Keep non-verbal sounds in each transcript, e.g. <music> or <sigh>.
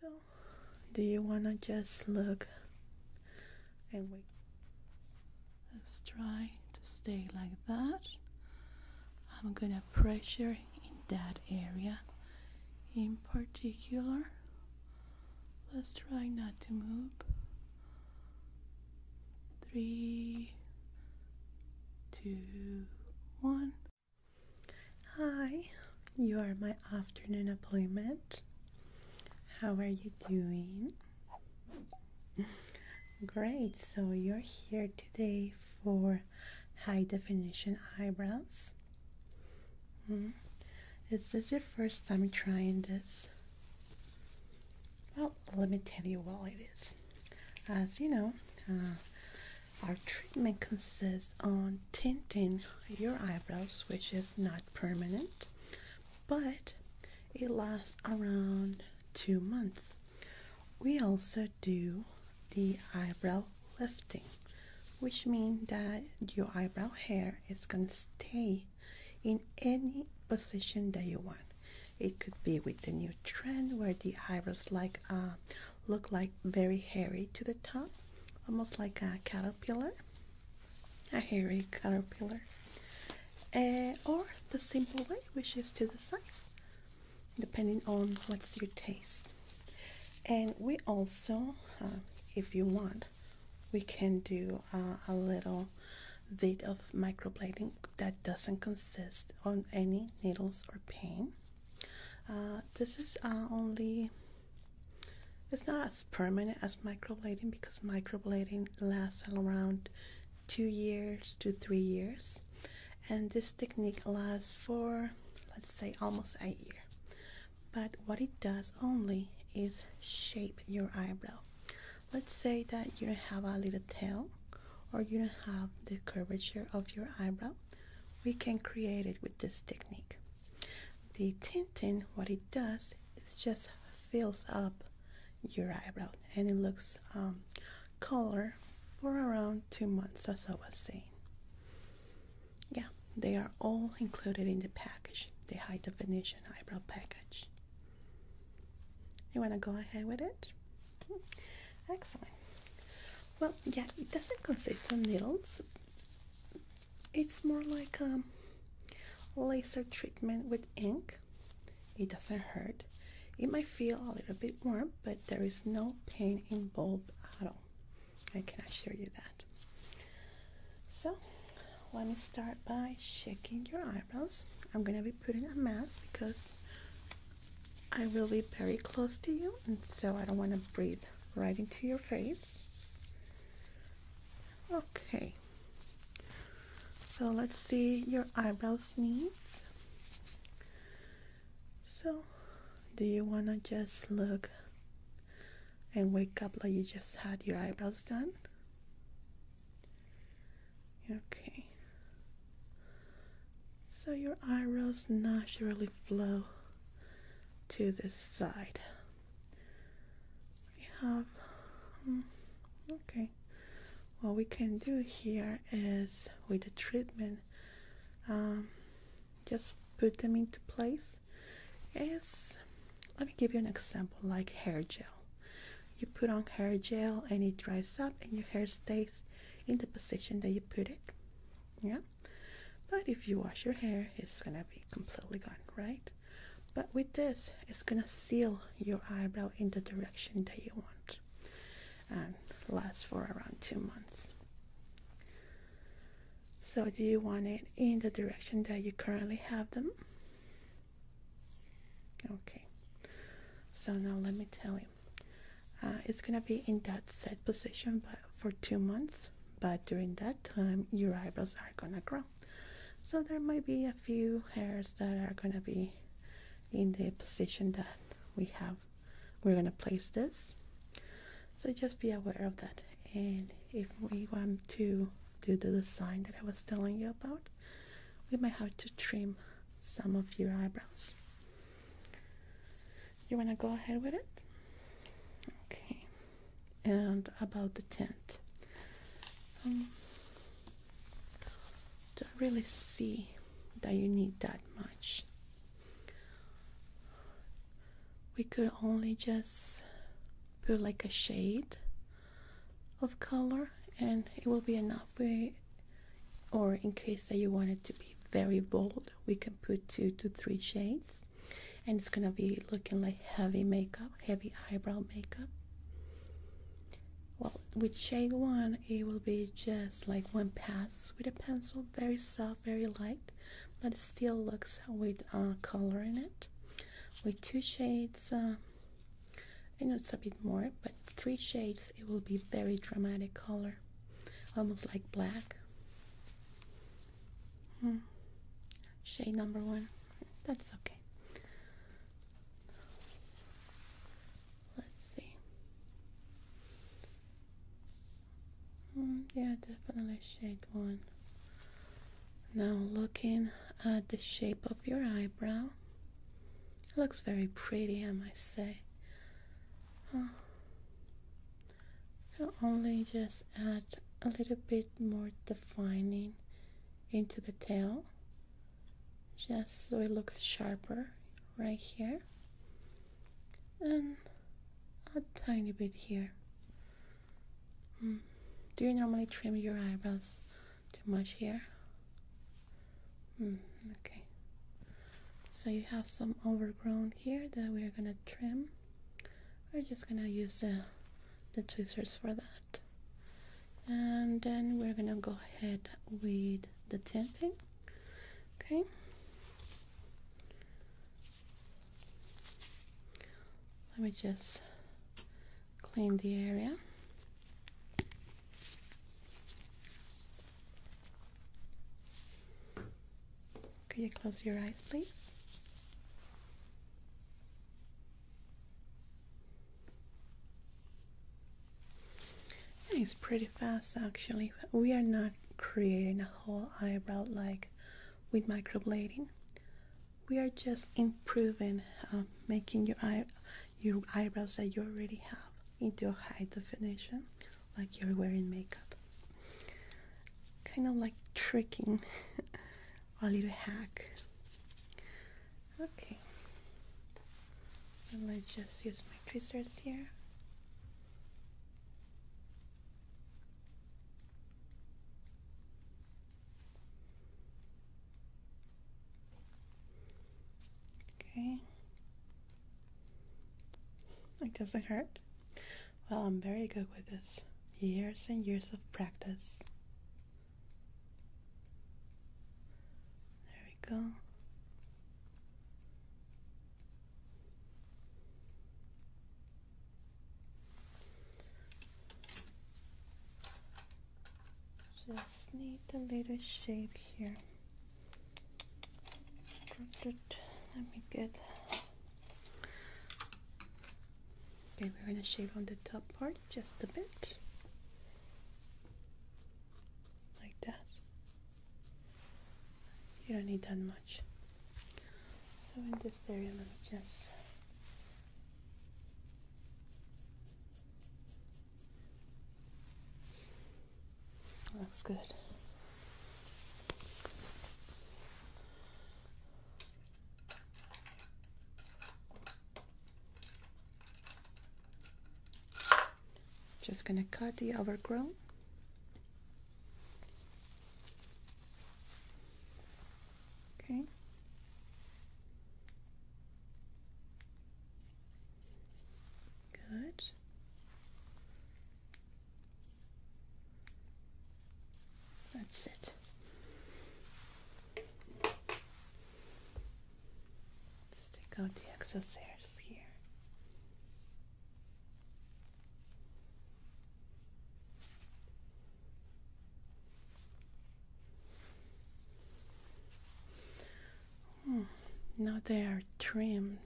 So, do you want to just look and wait? Let's try to stay like that. I'm going to pressure in that area in particular. Let's try not to move. Three, two, one. Hi, you are my afternoon appointment. How are you doing? Great, so you're here today for high definition eyebrows. Hmm, is this your first time trying this? Well, let me tell you why it is. As you know, uh, our treatment consists on tinting your eyebrows, which is not permanent, but it lasts around two months. We also do the eyebrow lifting, which means that your eyebrow hair is going to stay in any position that you want. It could be with the new trend where the eyebrows like a uh, look like very hairy to the top, almost like a caterpillar, a hairy caterpillar. Uh, or the simple way, which is to the sides, depending on what's your taste. And we also, uh, if you want, we can do uh, a little bit of microblading that doesn't consist on any needles or pain. this is only it's not as permanent as microblading because microblading lasts around two years to three years, and this technique lasts for let's say almost a year. But what it does only is shape your eyebrow. Let's say that you have a little tail or you don't have the curvature of your eyebrow we can create it with this technique. The tinting, what it does, is just fills up your eyebrow and it looks um, color for around two months as I was saying. Yeah, they are all included in the package, the high definition eyebrow package. You want to go ahead with it? Excellent. Well, yeah, it doesn't consist of needles, it's more like a um, laser treatment with ink. It doesn't hurt. It might feel a little bit warm, but there is no pain involved at all. I can assure you that. So, let me start by shaking your eyebrows. I'm gonna be putting a mask because I will be very close to you, and so I don't want to breathe right into your face. Okay. So let's see your eyebrows needs. So, do you want to just look and wake up like you just had your eyebrows done? Okay. So your eyebrows naturally flow to this side we have um, okay what we can do here is with the treatment um, just put them into place is let me give you an example like hair gel you put on hair gel and it dries up and your hair stays in the position that you put it yeah but if you wash your hair, it's gonna be completely gone, right? But with this, it's gonna seal your eyebrow in the direction that you want and lasts for around two months. So, do you want it in the direction that you currently have them? Okay, so now let me tell you. Uh, it's gonna be in that set position, but for two months, but during that time, your eyebrows are gonna grow. So there might be a few hairs that are gonna be in the position that we have. We're gonna place this. So just be aware of that. And if we want to do the design that I was telling you about, we might have to trim some of your eyebrows. You wanna go ahead with it? Okay and about the tent. Um, don't really see that you need that much. We could only just put like a shade of color and it will be enough. We, or in case that you want it to be very bold, we can put two to three shades and it's gonna be looking like heavy makeup heavy eyebrow makeup well with shade one it will be just like one pass with a pencil very soft very light but it still looks with uh, color in it with two shades uh, I know it's a bit more but three shades it will be very dramatic color almost like black Hmm. Shade number one. That's okay. Let's see. Hmm, yeah, definitely shade one. Now looking at the shape of your eyebrow. looks very pretty, I must say. I'll only just add a little bit more defining into the tail just so it looks sharper right here and a tiny bit here hmm. do you normally trim your eyebrows too much here hmm, okay so you have some overgrown here that we're gonna trim we're just gonna use the, the tweezers for that and then we're gonna go ahead with the tinting okay let me just clean the area could you close your eyes, please? It's pretty fast actually. We are not creating a whole eyebrow like with microblading. We are just improving, um, making your eye, your eyebrows that you already have into a high definition, like you're wearing makeup. Kind of like tricking <laughs> a little hack. Okay, so let's just use my tweezers here. Okay, it doesn't hurt. Well, I'm very good with this. Years and years of practice. There we go. Just need a little shape here. Let me get Okay, we're going to shave on the top part just a bit. Like that. You don't need that much. So in this area, let me just Looks good. Just going to cut the overgrown. Okay. Good. That's it it. take out the excess hairs here. Hmm, now they are trimmed.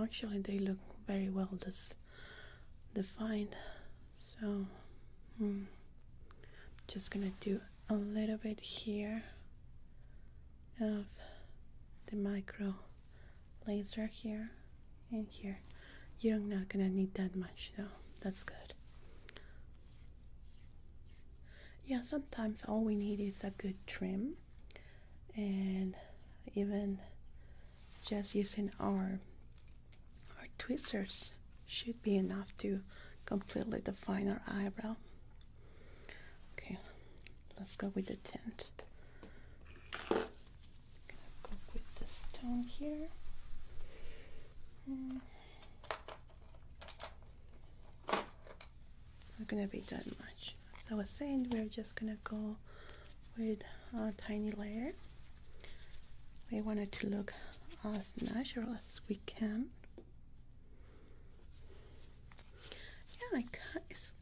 Actually, they look very well dis defined. So, I'm hmm. just gonna do a little bit here of the micro laser here and here. You're not gonna need that much though, that's good. Yeah, sometimes all we need is a good trim and even just using our our tweezers should be enough to completely define our eyebrow okay let's go with the tint go with this tone here hmm. not gonna be that much as I was saying we're just gonna go with a tiny layer we wanted to look as natural as we can yeah it's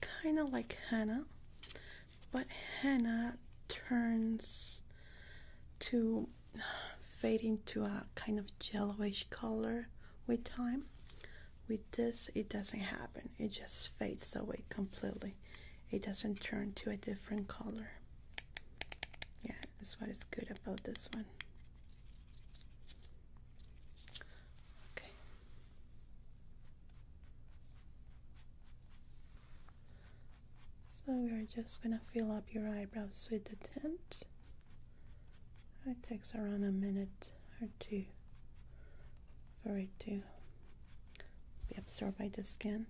kind of like henna but henna turns to fade into a kind of yellowish color with time with this it doesn't happen it just fades away completely it doesn't turn to a different color yeah, that's what is good about this one. Okay. So we are just gonna fill up your eyebrows with the tint. It takes around a minute or two for it to be absorbed by the skin.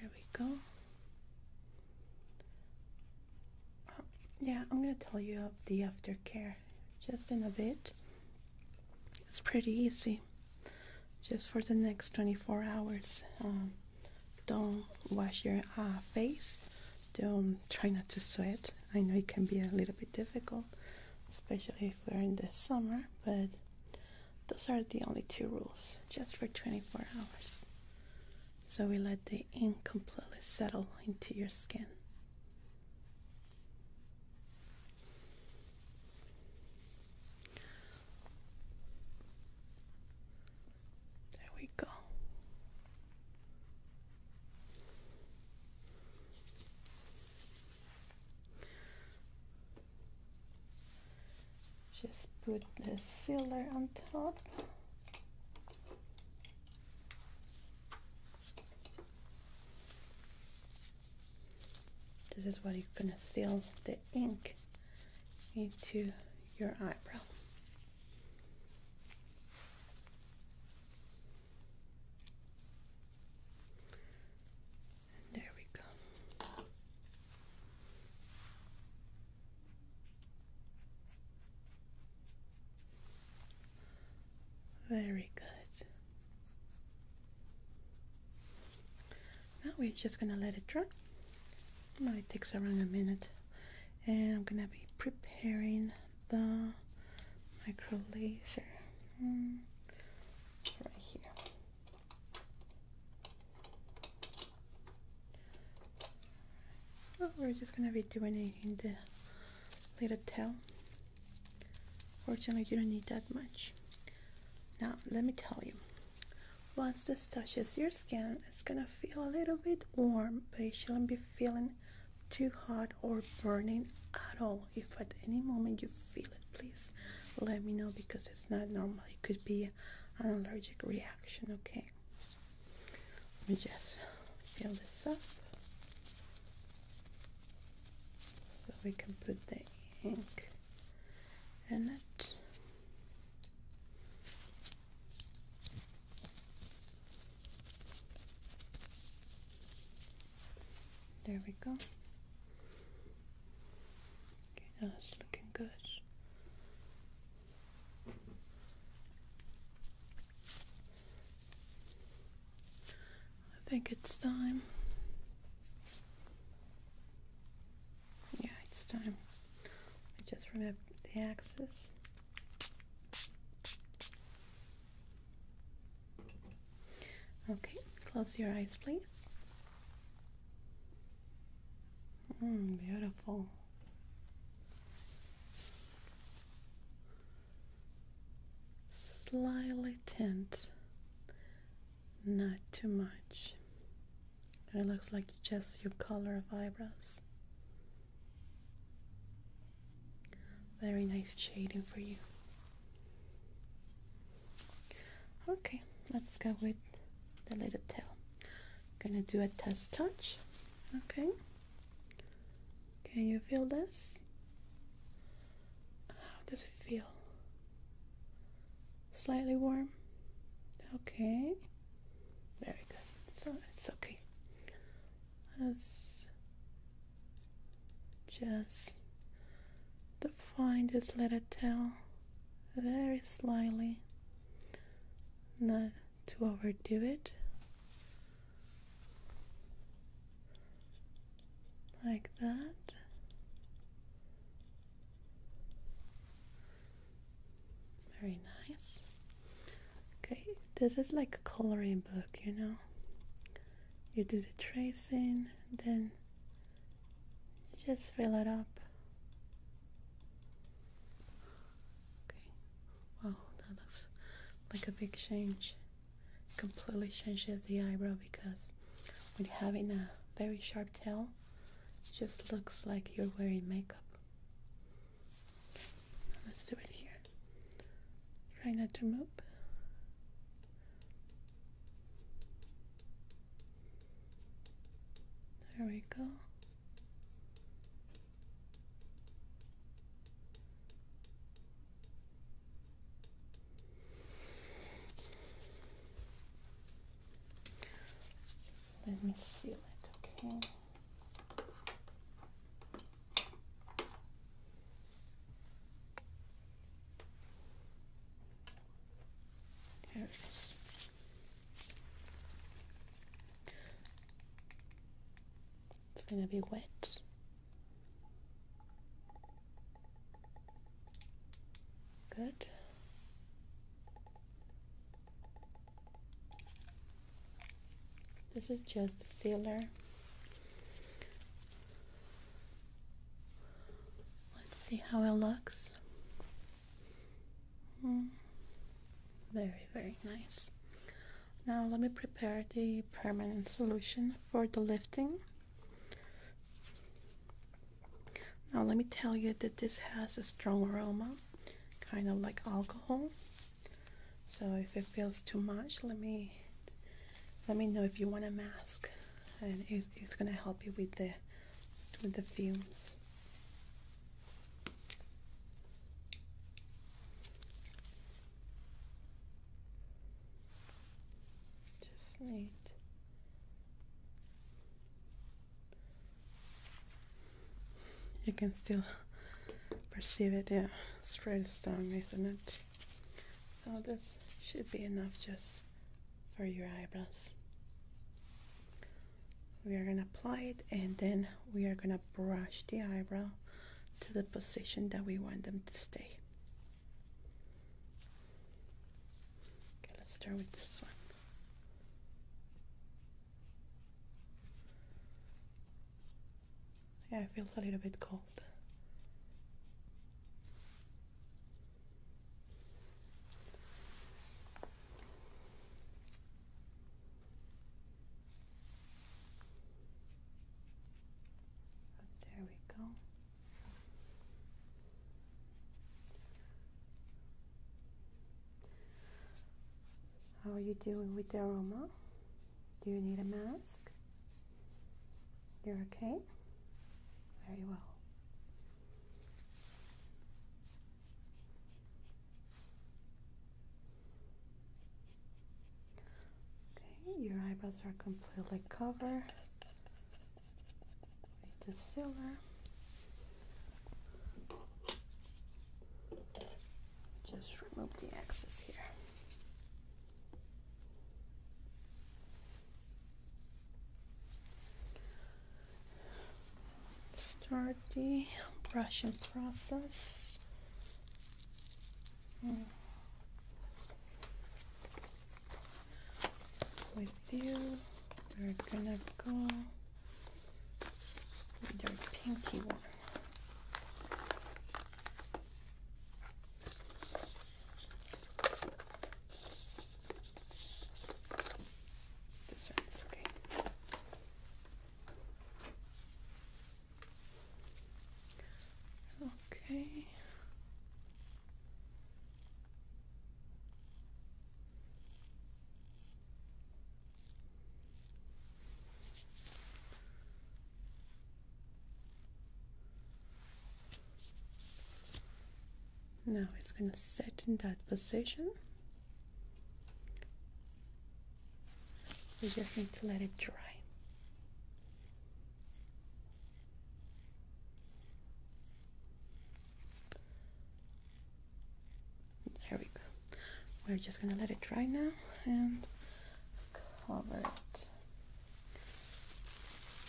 There we go. Oh, yeah, I'm going to tell you of the aftercare just in a bit. It's pretty easy just for the next 24 hours um, don't wash your uh, face don't try not to sweat i know it can be a little bit difficult especially if we're in the summer but those are the only two rules just for 24 hours so we let the ink completely settle into your skin there we go. Just put the sealer on top. This is what you're gonna seal the ink into your eyebrow. there we go. Very good now we're just gonna let it dry well, it takes around a minute and I'm gonna be preparing the micro laser mm, right here we're just gonna be doing it in the little tail Fortunately, you don't need that much. Now, let me tell you. Once this touches your skin, it's gonna feel a little bit warm, but you shouldn't be feeling too hot or burning at all. If at any moment you feel it, please let me know because it's not normal. It could be an allergic reaction, okay? Let me just fill this up so we can put the ink in it. There we go. Okay, now looking good. I think it's time. Yeah, it's time. I just remembered the axis. Okay, close your eyes, please. Mm, beautiful. Slightly tint not too much. it looks like just your color of eyebrows. Very nice shading for you. Okay, let's go with the little tail. gonna do a test touch. Okay. Can you feel this? How does it feel? Slightly warm? Okay. Very good. So it's okay. Let's just define this little tail very slightly, not to overdo it. Like that. Very nice. Okay, this is like a coloring book, you know. You do the tracing, then just fill it up. Okay. Wow, that looks like a big change. Completely changes the eyebrow because we you have in a very sharp tell. just looks like you're wearing makeup. Let's do it here. Try not to move. There we go. Let me seal it, okay? There it is. It's gonna be wet. Good. This is just the sealer. Let's see how it looks. Hmm. Very, very nice. Now let me prepare the permanent solution for the lifting. Now, let me tell you that this has a strong aroma, kind of like alcohol. So if it feels too much, let me let me know if you want a mask, and it's, gonna help you with the with the fumes. Just neat. You can still perceive it, yeah, it's pretty strong, isn't it? So this should be enough just for your eyebrows. We are gonna apply it and then we are gonna brush the eyebrow to the position that we want them to stay. Okay, let's start with this one. Yeah, it feels a little bit cold. There we go. How are you doing with the aroma? Do you need a mask? You're okay? Very well. Okay, your eyebrows are completely covered the silver just remove the excess here start the brushing process hmm with you. We're gonna go with our pinky one. This one's okay. Okay. Now it's going to sit in that position. We just need to let it dry. There we go. We're just gonna let it dry now and cover it.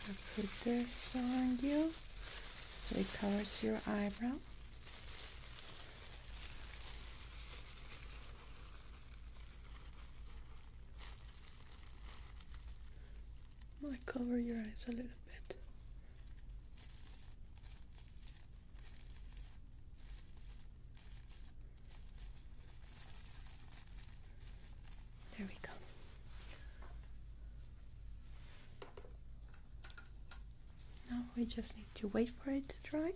i put this on you so it covers your eyebrow might cover your eyes a little bit. There we go. Now we just need to wait for it to dry.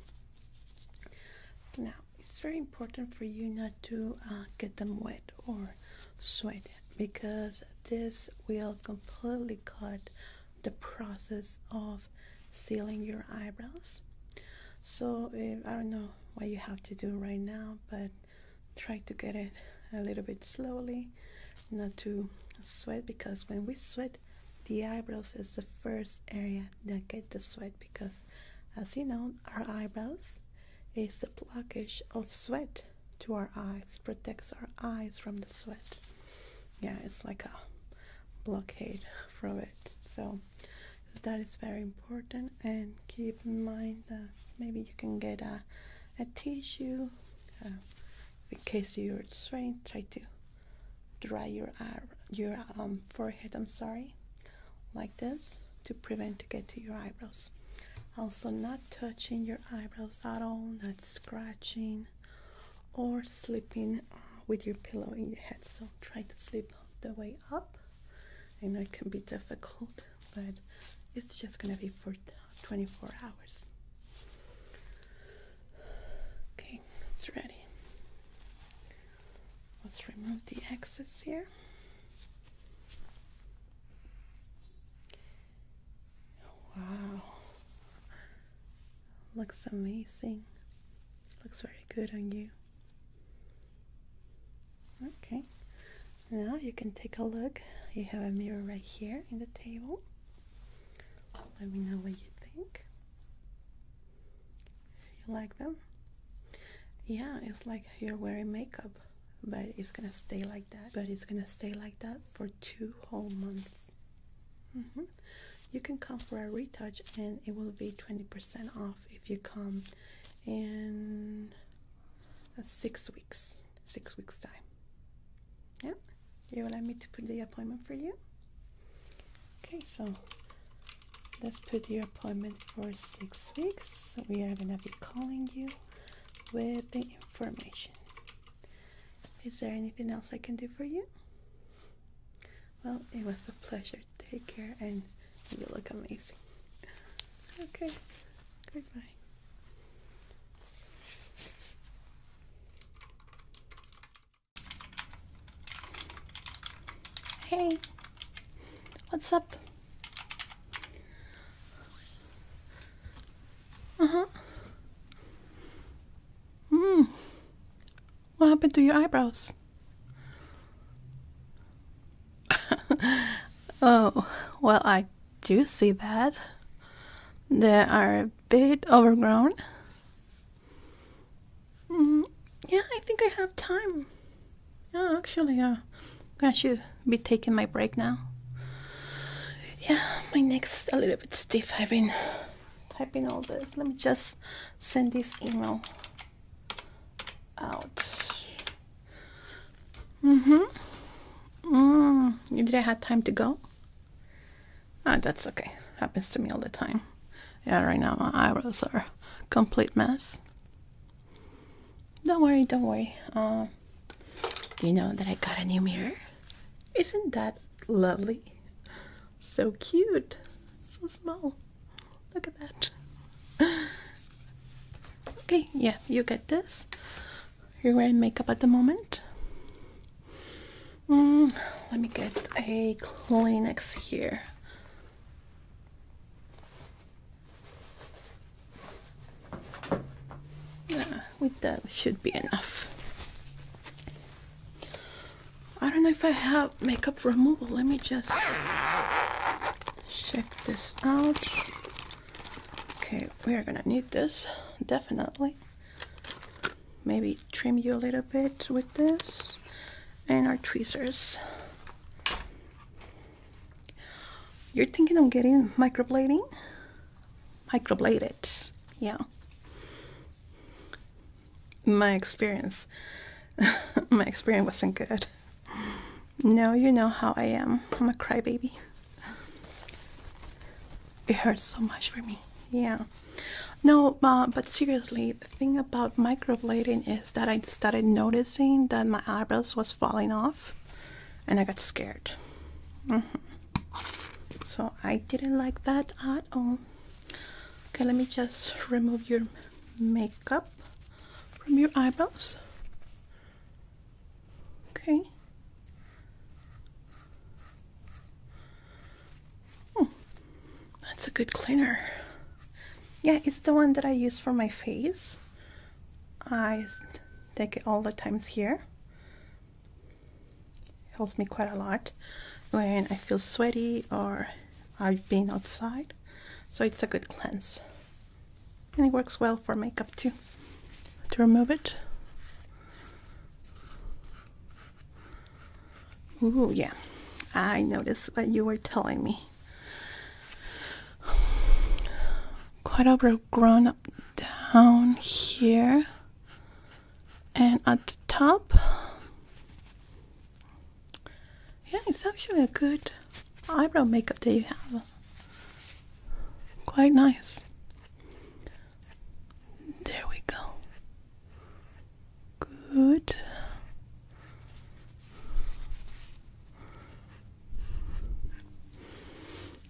Now it's very important for you not to uh, get them wet or sweat because this will completely cut the process of sealing your eyebrows. So eh, I don't know what you have to do right now, but try to get it a little bit slowly, not to sweat because when we sweat, the eyebrows is the first area that get the sweat because as you know, our eyebrows is the blockage of sweat to our eyes, protects our eyes from the sweat. Yeah, it's like a blockade from it. So that is very important and keep in mind that maybe you can get a, a tissue uh, in case you're sweating try to dry your eye, your um, forehead I'm sorry like this to prevent to get to your eyebrows also not touching your eyebrows at all, not scratching or sleeping uh, with your pillow in your head. So try to sleep the way up. I know it can be difficult, but it's just gonna be for 24 hours. Okay, it's ready. Let's remove the excess here. Wow, looks amazing. Looks very good on you. Okay, now you can take a look. You have a mirror right here in the table. Let me know what you think. You like them? Yeah, it's like you're wearing makeup, but it's gonna stay like that. But it's gonna stay like that for two whole months. Mm-hmm. You can come for a retouch and it will be 20% off if you come in uh, six weeks, six weeks time. Yeah, you allow me to put the appointment for you? Okay, so let's put your appointment for six weeks. we are gonna be calling you with the information. Is there anything else I can do for you? Well, it was a pleasure. Take care, and you look amazing. Okay, goodbye. Hey, what's up? Uh-huh. Hmm. What happened to your eyebrows? <laughs> oh, well, I do see that. They are a bit overgrown. Mm, yeah, I think I have time. Yeah, actually, uh, I should be taking my break now yeah my neck's a little bit stiff I've been typing all this let me just send this email out mm-hmm mm, you didn't have time to go ah that's okay happens to me all the time yeah right now my eyebrows are complete mess don't worry don't worry uh, you know that I got a new mirror isn't that lovely? So cute. So small. Look at that. Okay, yeah, you get this. You're wearing makeup at the moment. Mm, let me get a Kleenex here. Yeah, with that should be enough. I don't know if I have makeup removal. Let me just check this out. Okay, we are gonna need this, definitely. Maybe trim you a little bit with this. And our tweezers. You're thinking of getting microblading? microbladed. Yeah. My experience, <laughs> my experience wasn't good. No, you know how I am. I'm a crybaby. It hurts so much for me. Yeah. No, but seriously, the thing about microblading is that I started noticing that my eyebrows was falling off, and I got scared. Mm-hmm so I didn't like that at all okay let me just remove your makeup from your eyebrows okay oh, that's a good cleaner yeah it's the one that I use for my face I take it all the times here helps me quite a lot when I feel sweaty or I've been outside. So it's a good cleanse. And it works well for makeup too. To remove it. oh yeah. I noticed what you were telling me. Quite a bit grown up down here and at the top yeah it's actually a good eyebrow makeup that you have quite nice there we go good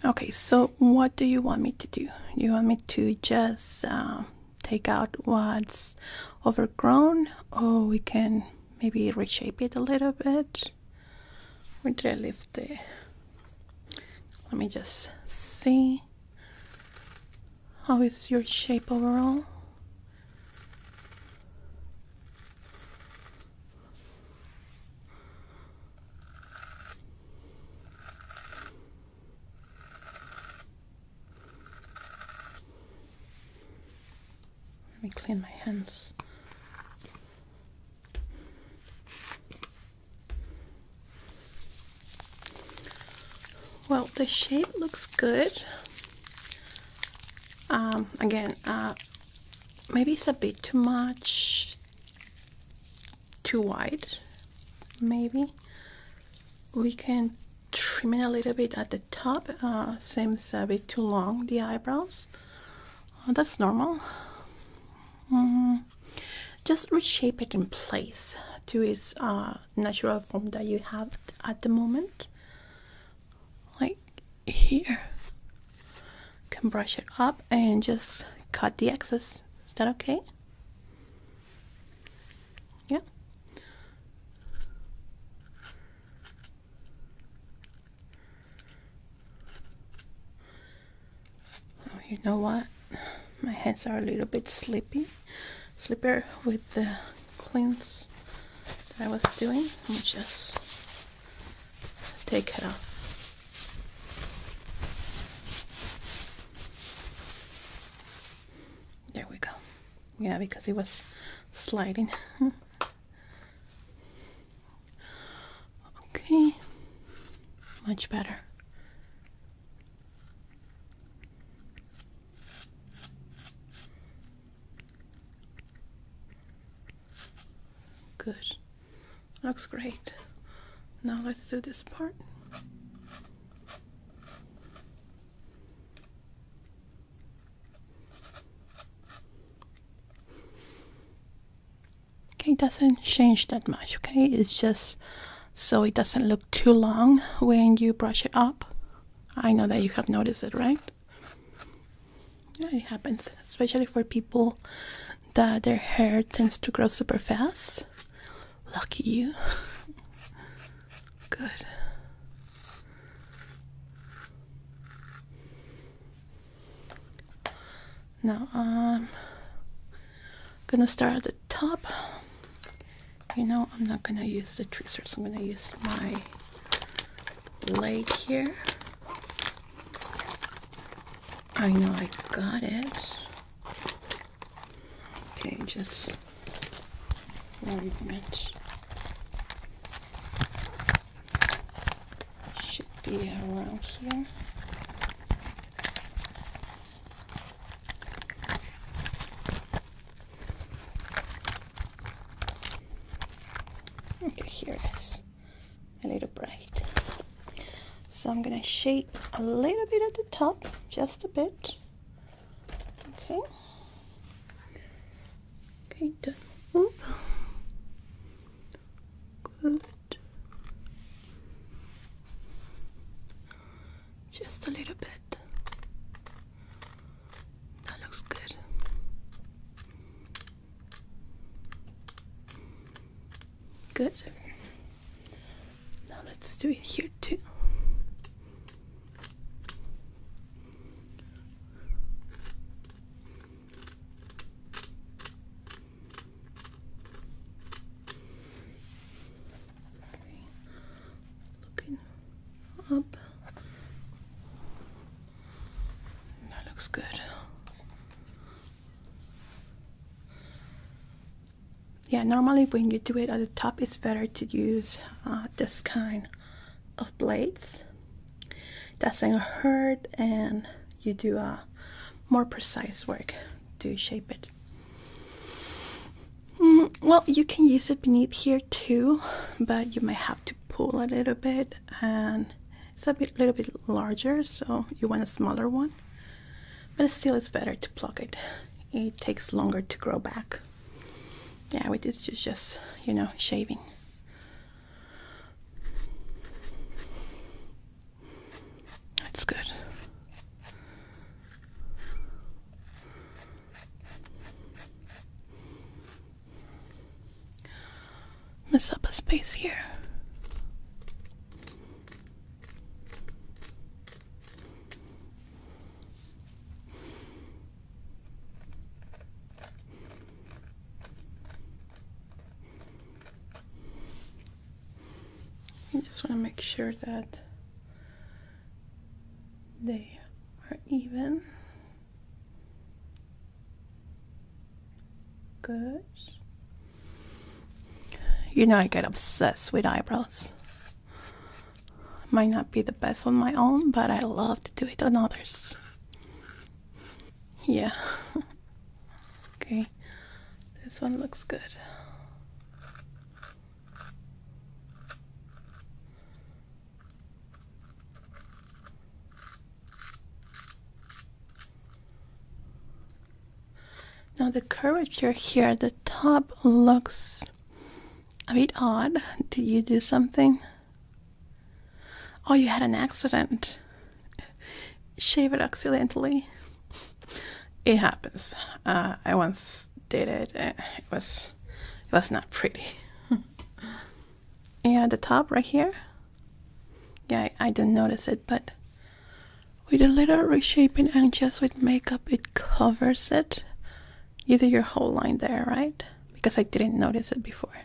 Okay, so what do you want me to do? You want me to just um, take out what's overgrown, or we can maybe reshape it a little bit? Where did the? Let me just see. How is your shape overall? Let me clean my hands. Well, the shape looks good. Um, again, uh, maybe it's a bit too much too wide maybe we can trim it a little bit at the top uh, seems a bit too long the eyebrows uh, that's normal mm-hmm. just reshape it in place to its uh, natural form that you have at the moment like here can brush it up and just cut the excess is that okay yeah. Oh, you know what? My hands are a little bit sleepy, sleeper with the cleans that I was doing. Let me just take it off. There we go. Yeah, because he was sliding. <laughs> okay, much better. Good. Looks great. Now let's do this part. Okay, doesn't change that much, okay? It's just so it doesn't look too long when you brush it up. I know that you have noticed it, right? Yeah, it happens, especially for people that their hair tends to grow super fast. Lucky you. <laughs> Good. Now I'm gonna start at the top. You know, I'm not gonna use the tweezers, I'm gonna use my leg here. I know I got it. Okay, just one minute. Should be around here. Okay, here it is. A little bright. So I'm gonna shape a little bit at the top, just a bit. Okay. Okay, done. Oop. Good. Just a little bit. That looks good. Good. Now let's do it here too. Looking up. That looks good yeah normally when you do it at the top it's better to use uh, this kind of blades that's gonna hurt and you do a uh, more precise work to shape it mm, well you can use it beneath here too but you might have to pull a little bit and it's a little bit larger so you want a smaller one but still it's better to plug it it takes longer to grow back. Yeah, it is this just, you know, shaving. That's good. Mess up a space here. I just want to make sure that they are even. Good. You know I get obsessed with eyebrows. Might not be the best on my own, but I love to do it on others. Yeah. <laughs> okay, this one looks good. Now the curvature here at the top looks a bit odd. Did you do something? Oh, you had an accident. Shave it accidentally. It happens. Uh, I once did it. Uh, it was it was not pretty. <laughs> yeah, the top right here. Yeah, I didn't notice it, but with a little reshaping and just with makeup, it covers it. Either your whole line there, right? Because I didn't notice it before.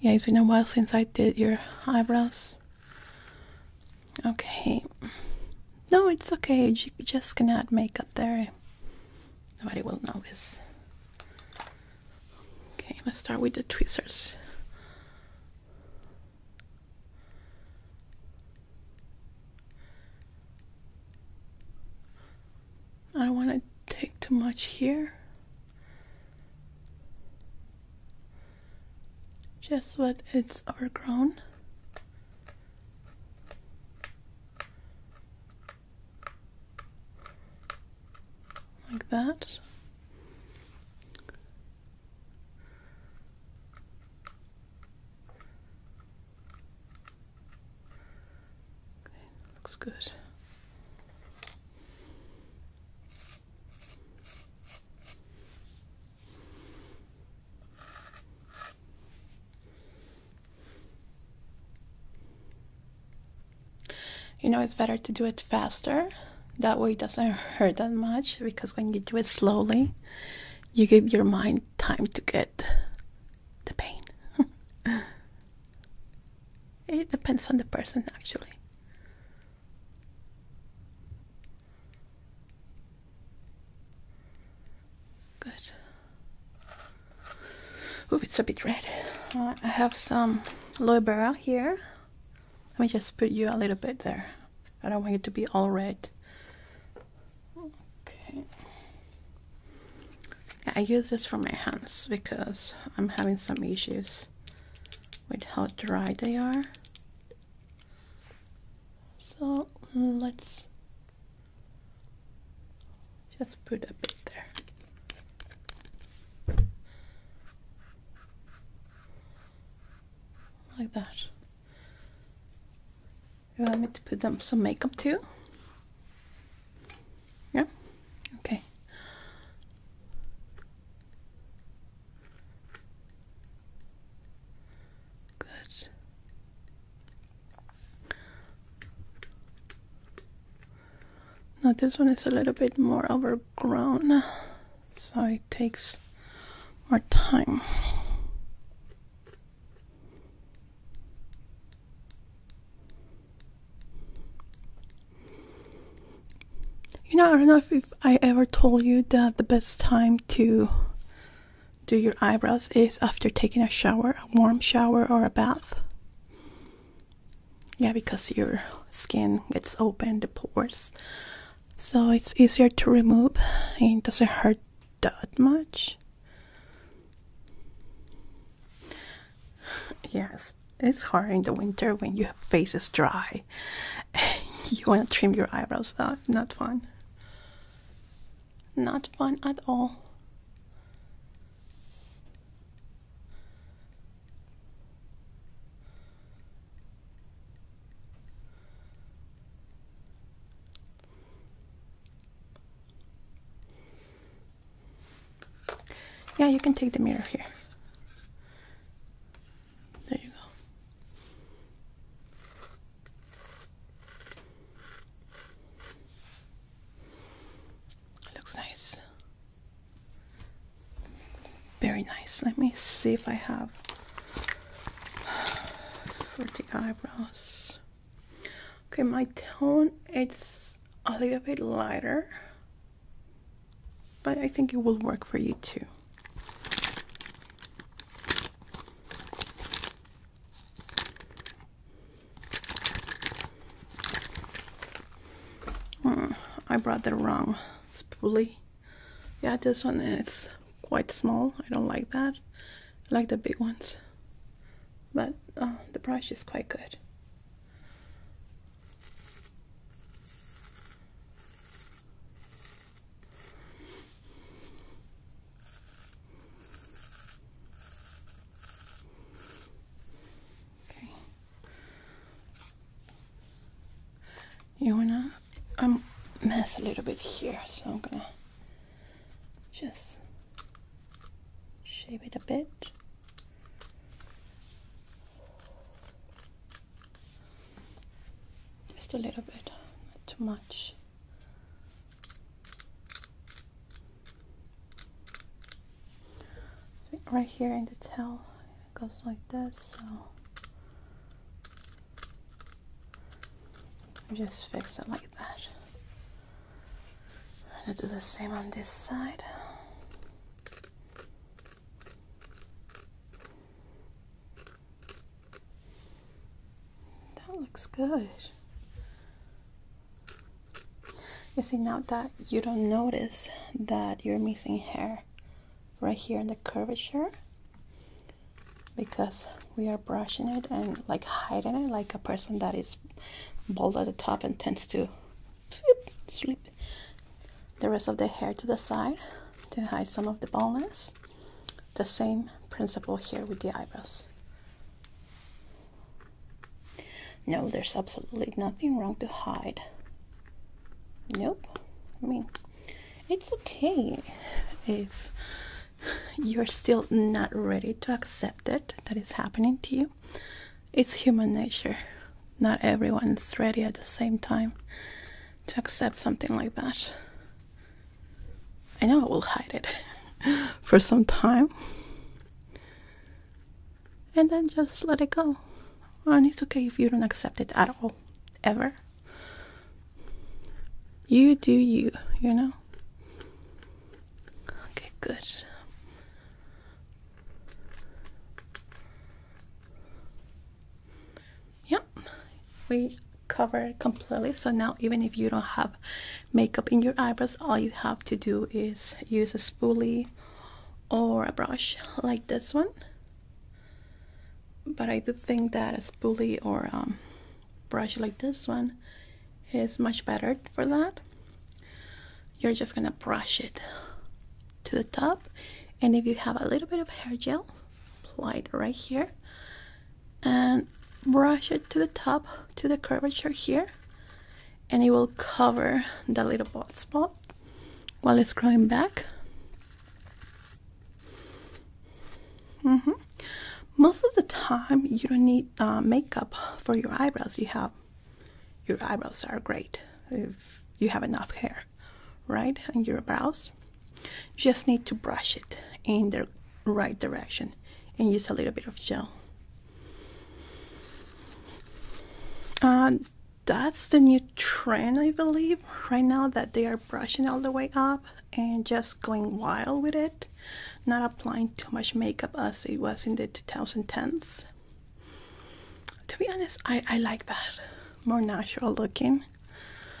Yeah, it's been a while since I did your eyebrows. Okay. No, it's okay. Just gonna add makeup there. Nobody will notice. Okay, let's start with the tweezers. I don't want to take too much here. Just what it's overgrown. Like that looks good. You know, it's better to do it faster. That way it doesn't hurt that much because when you do it slowly, you give your mind time to get the pain. <laughs> it depends on the person, actually. Good. Oh, it's a bit red. Uh, I have some aloe vera here. Let me just put you a little bit there. I don't want it to be all red. Okay. I use this for my hands because I'm having some issues with how dry they are. So let's just put a bit there. Like that. You want me to put them some makeup too? Yeah? Okay. Good. Now this one is a little bit more overgrown, so it takes more time. You know, I don't know if, I ever told you that the best time to do your eyebrows is after taking a shower, a warm shower or a bath. Yeah, because your skin gets open, the pores. So it's easier to remove and it doesn't hurt that much. Yes, it's hard in the winter when your face is dry. <laughs> you want to trim your eyebrows. Uh, not fun. Not fun at all. Yeah, you can take the mirror here. There you go. looks nice. Very nice. Let me see if I have for the eyebrows. Okay, my tone, it's a little bit lighter, but I think it will work for you too. Hmm, I brought the wrong spoolie. Yeah, this one is quite small. I don't like that. I like the big ones. But uh, the brush is quite good. Okay. You wanna um, mess a little bit here, so I'm gonna just shape it a bit. Just a little bit, not too much. right here in the tail, it goes like this, so just fix it like that. I'm gonna do the same on this side. That looks good. You see, now that you don't notice that you're missing hair right here in the curvature, because we are brushing it and like hiding it like a person that is bald at the top and tends to slip the rest of the hair to the side to hide some of the baldness. The same principle here with the eyebrows. No, there's absolutely nothing wrong to hide. Nope. I mean, it's okay if you're still not ready to accept it that is happening to you. It's human nature. Not everyone's ready at the same time to accept something like that. I know I will hide it <laughs> for some time and then just let it go. And it's okay if you don't accept it at all, ever. You do you, you know? Okay, good. Yep, we covered completely. So now, even if you don't have makeup in your eyebrows, all you have to do is use a spoolie or a brush like this one. But I do think that a spoolie or um, brush like this one is much better for that you're just gonna brush it to the top and if you have a little bit of hair gel apply it right here and brush it to the top to the curvature here and it will cover the little bald spot while it's growing back Mm-hmm. Most of the time, you don't need uh, makeup for your eyebrows. You have your eyebrows are great if you have enough hair, right? On your brows, just need to brush it in the right direction and use a little bit of gel. that's the new trend, I believe, right now that they are brushing all the way up and just going wild with it, not applying too much makeup as it was in the 2010s. To be honest, I, I like that more natural looking,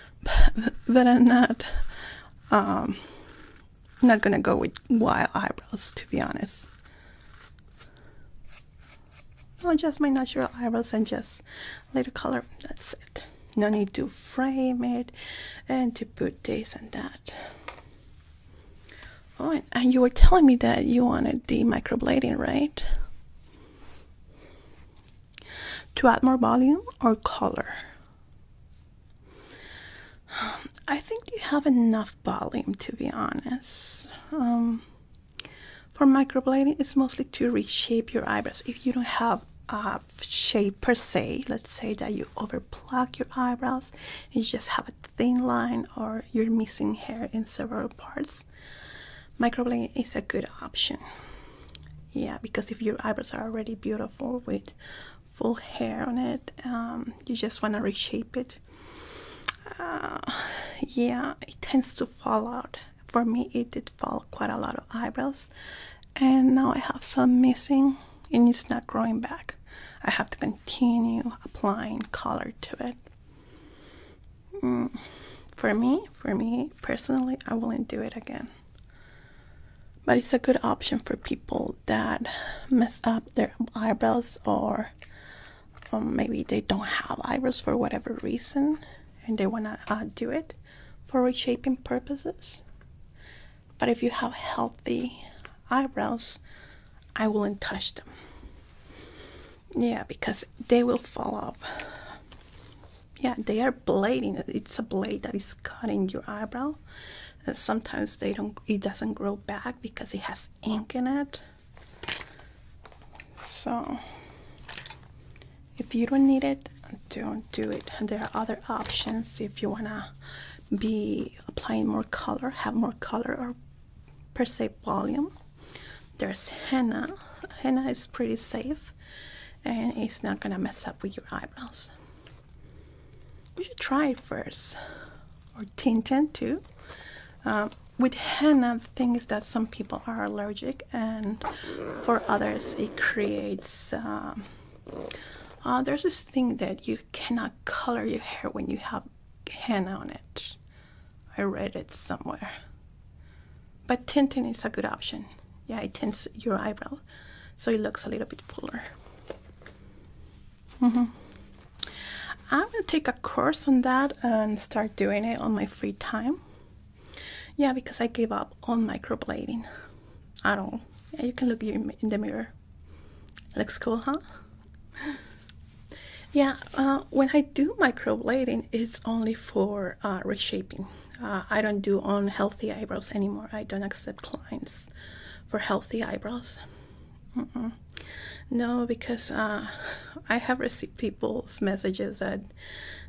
<laughs> but, I'm not um, not gonna go with wild eyebrows to be honest. I'll just my natural eyebrows and just a little color. That's it no need to frame it and to put this and that oh and, you were telling me that you wanted the microblading right to add more volume or color I think you have enough volume to be honest. Um, for microblading, it's mostly to reshape your eyebrows. If you don't have a shape per se. Let's say that you overplug your eyebrows you just have a thin line, or you're missing hair in several parts. Microblading is a good option. Yeah, because if your eyebrows are already beautiful with full hair on it, um, you just want to reshape it. Uh, yeah, it tends to fall out. For me, it did fall quite a lot of eyebrows and now I have some missing and it's not growing back. I have to continue applying color to it. Mm. For me, for me personally, I wouldn't do it again. But it's a good option for people that mess up their eyebrows or um, maybe they don't have eyebrows for whatever reason and they want to uh, do it for reshaping purposes. But if you have healthy eyebrows, I wouldn't touch them. Yeah, because they will fall off. Yeah, they are blading. It's a blade that is cutting your eyebrow. And sometimes they don't it doesn't grow back because it has ink in it. So if you don't need it, don't do it. there are other options if you wanna be applying more color, have more color, or per se volume. There's henna. Henna is pretty safe and it's not gonna mess up with your eyebrows. We should try it first, or tinted too. Um, with henna, the thing is that some people are allergic, and for others, it creates. Um, oh, there's this thing that you cannot color your hair when you have henna on it. I read it somewhere. But tinting is a good option. Yeah, it tints your eyebrow so it looks a little bit fuller. -hmm. I'm gonna take a course on that and start doing it on my free time. Yeah, because I gave up on microblading. I don't. Yeah, you can look in the mirror. Looks cool, huh? yeah, uh, when I do microblading, it's only for uh, reshaping. Uh, I don't do unhealthy eyebrows anymore. I don't accept clients for healthy eyebrows. No, because <laughs> I have received people's messages that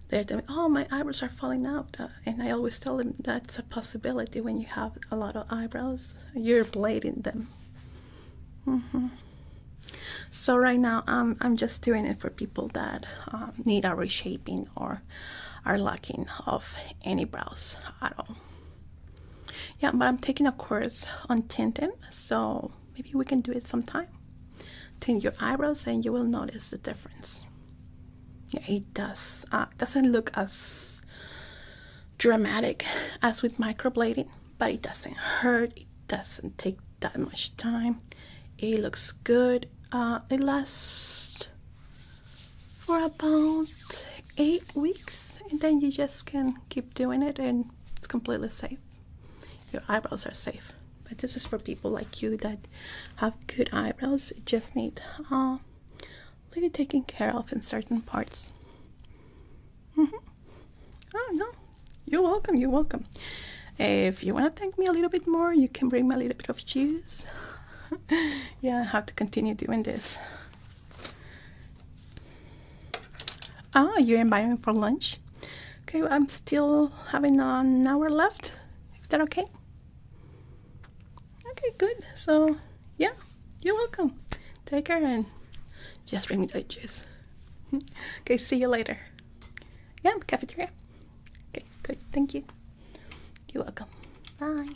they're telling me, oh, my eyebrows are falling out. and I always tell them that's a possibility when you have a lot of eyebrows. You're in them. Mm-hmm. So right now I'm I'm just doing it for people that um, need a reshaping or are lacking of any brows at all. Yeah, but I'm taking a course on tinting, so maybe we can do it sometime. Tint your eyebrows, and you will notice the difference. it does. Uh, doesn't look as dramatic as with microblading, but it doesn't hurt, it doesn't take that much time, it looks good. Uh, it lasts for about eight weeks, and then you just can keep doing it, and it's completely safe. Your eyebrows are safe, but this is for people like you that have good eyebrows, you just need uh, really taken care of in certain parts. Mm-hmm. Oh no, you're welcome. You're welcome. If you want to thank me a little bit more, you can bring me a little bit of cheese. <laughs> yeah, I have to continue doing this. Ah, you're inviting me for lunch. Okay, I'm still having an hour left. Is that okay? Okay, good. So, yeah, you're welcome. Take care and just bring me the juice. <laughs> okay, see you later. Yeah, cafeteria. Okay, good. Thank you. You're welcome. Bye.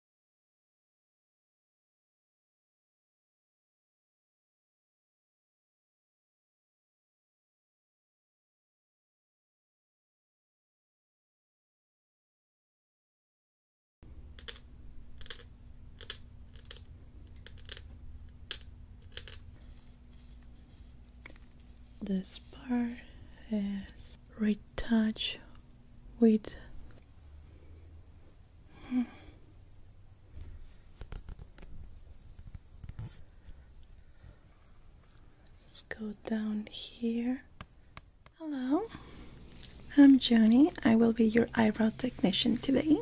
This part is retouched with Let's go down here. Hello, I'm Joni. I will be your eyebrow technician today.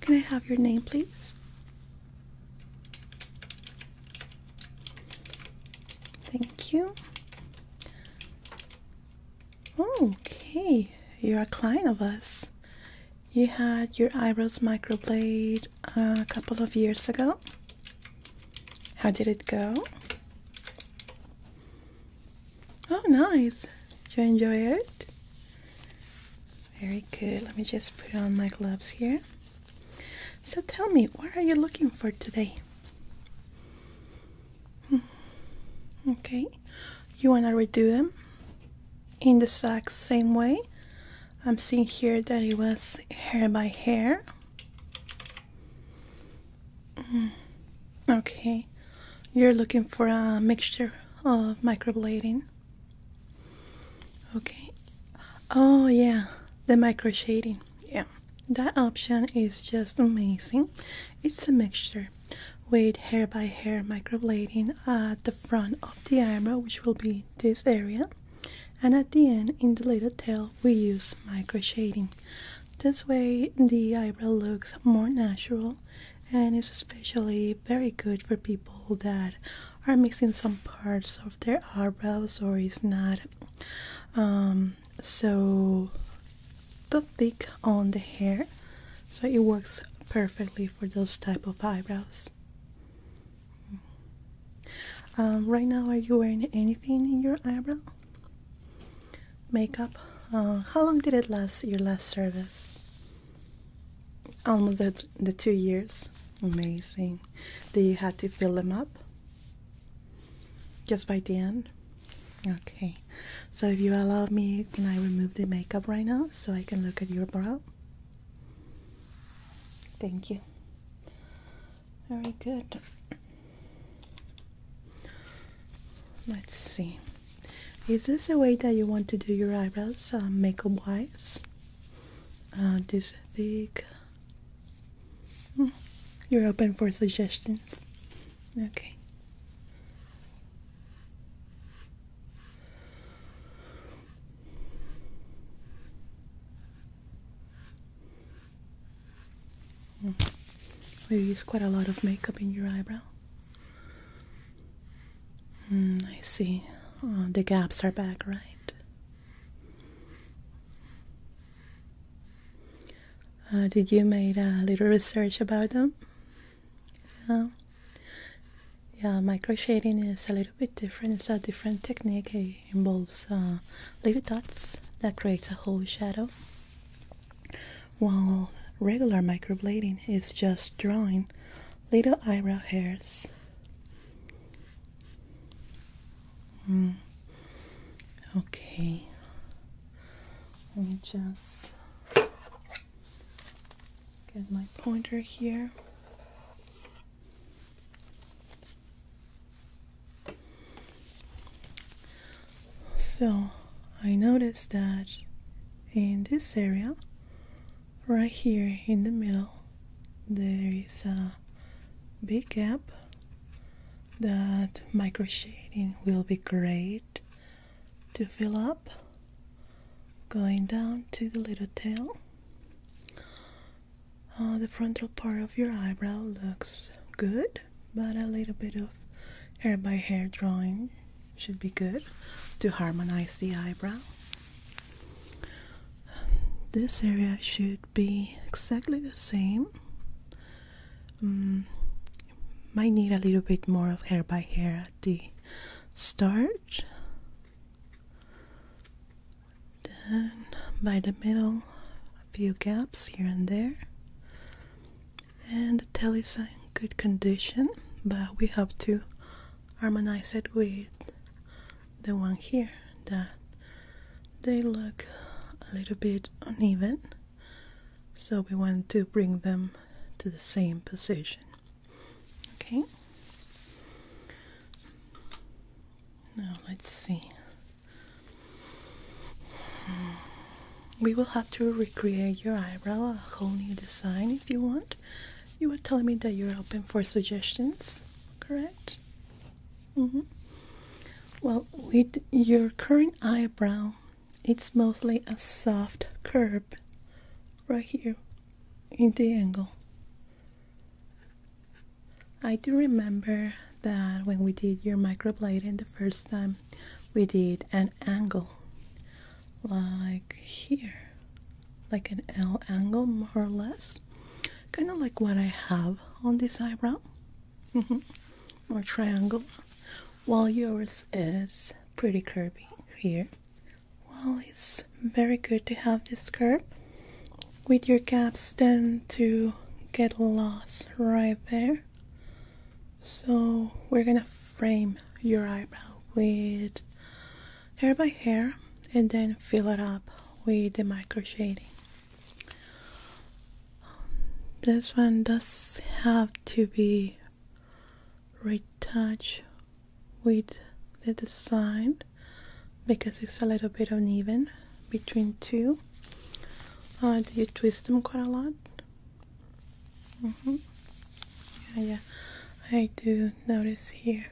Can I have your name, please? Thank you. Okay, you're a client of us. You had your eyebrows microbladed a couple of years ago. How did it go? Oh, nice. Did you enjoy it? Very good. Let me just put on my gloves here. So tell me, what are you looking for today? Hmm. okay you want to redo them in the exact same way I'm seeing here that it was hair by hair hmm. okay you're looking for a mixture of microblading okay oh yeah the micro shading yeah that option is just amazing it's a mixture with hair by hair microblading at the front of the eyebrow which will be this area and at the end in the little tail we use micro shading this way the eyebrow looks more natural and it's especially very good for people that are missing some parts of their eyebrows or is not um, so too thick on the hair so it works perfectly for those type of eyebrows um, right now are you wearing anything in your eyebrow makeup uh, how long did it last your last service almost the, two years amazing do you have to fill them up just by the end Okay, so if you allow me, can I remove the makeup right now so I can look at your brow? Thank you. Very good. Let's see. Is this the way that you want to do your eyebrows, uh, makeup wise? Uh, this thick. Hmm. You're open for suggestions. Okay. You use quite a lot of makeup in your eyebrow. Mm, I see. Oh, the gaps are back, right? Uh, did you make a little research about them? yeah. yeah, my crocheting is a little bit different. It's a different technique. It involves uh, little dots that creates a whole shadow. While regular microblading is just drawing little eyebrow hairs. Hmm. Okay. Let me just Get my pointer here. So I noticed that in this area, right here in the middle, there is a big gap that micro shading will be great to fill up going down to the little tail uh, the frontal part of your eyebrow looks good but a little bit of hair by hair drawing should be good to harmonize the eyebrow this area should be exactly the same mm, might need a little bit more of hair by hair the starch, then by the middle, a few gaps here and there, and the tail is in good condition, but we have to harmonize it with the one here that they look a little bit uneven so we want to bring them to the same position okay now let's see we will have to recreate your eyebrow a whole new design if you want you were telling me that you're open for suggestions correct mm-hmm well with your current eyebrow it's mostly a soft curve right here in the angle. I do remember that when we did your microblading the first time, we did an angle like here, like an L angle more or less, kind of like what I have on this eyebrow, mm-hmm. more triangle, while yours is pretty curvy here. Well, it's very good to have this curve with your gaps tend to get lost right there. So we're gonna frame your eyebrow with hair by hair and then fill it up with the micro shading. This one does have to be retouch with the design because it's a little bit uneven between two. Uh, do you twist them quite a lot? Mm-hmm. Yeah, yeah, I do notice here.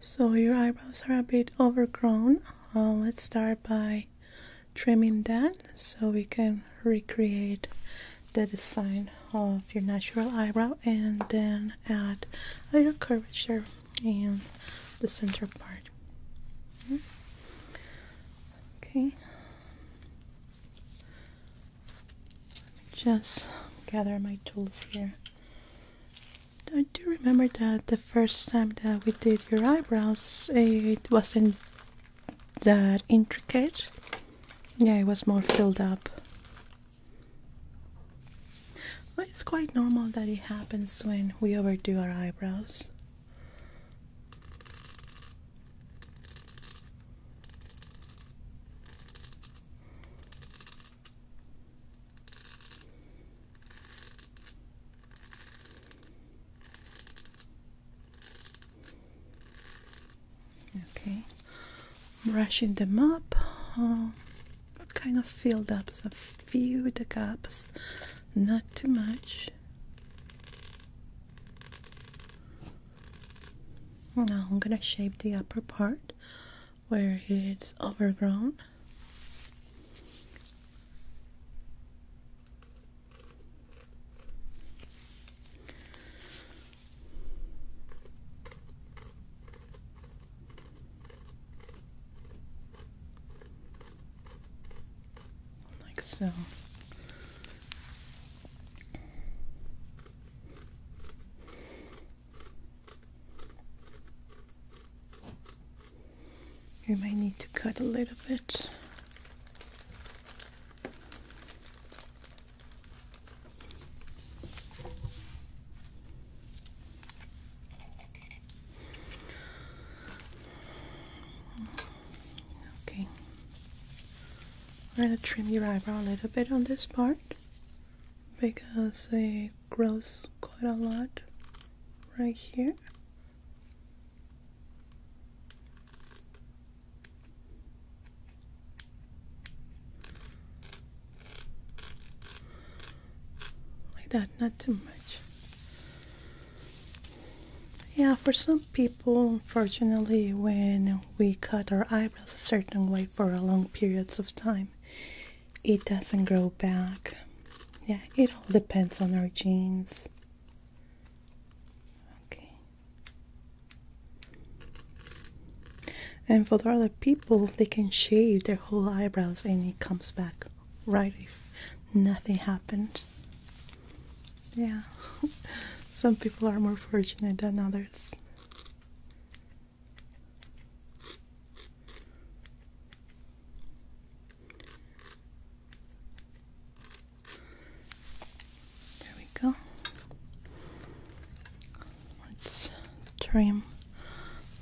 So your eyebrows are a bit overgrown. Uh, let's start by trimming that so we can recreate the design of your natural eyebrow and then add a little curvature in the center part okay just gather my tools here I do remember that the first time that we did your eyebrows it wasn't that intricate. Yeah, it was more filled up. But it's quite normal that it happens when we overdo our eyebrows. Okay, brushing them up, oh, kind of filled up a few the gaps, not too much. Now I'm gonna shape the upper part where it's overgrown like so. You may need to cut a little bit. Okay. We're gonna trim your eyebrow a little bit on this part because it grows quite a lot right here. Like that, not too much. Yeah, for some people, unfortunately, when we cut our eyebrows a certain way for a long periods of time, it doesn't grow back. Yeah, it all depends on our genes. Okay. And for the other people, they can shave their whole eyebrows and it comes back right if nothing happened. Yeah, <laughs> some people are more fortunate than others. There we go. Let's trim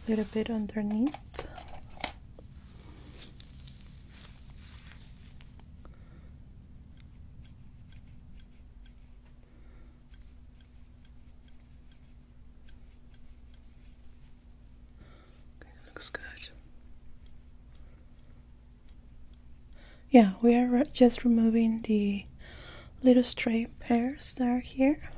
a little bit underneath. Okay, looks good yeah we are just removing the little stray hairs that are here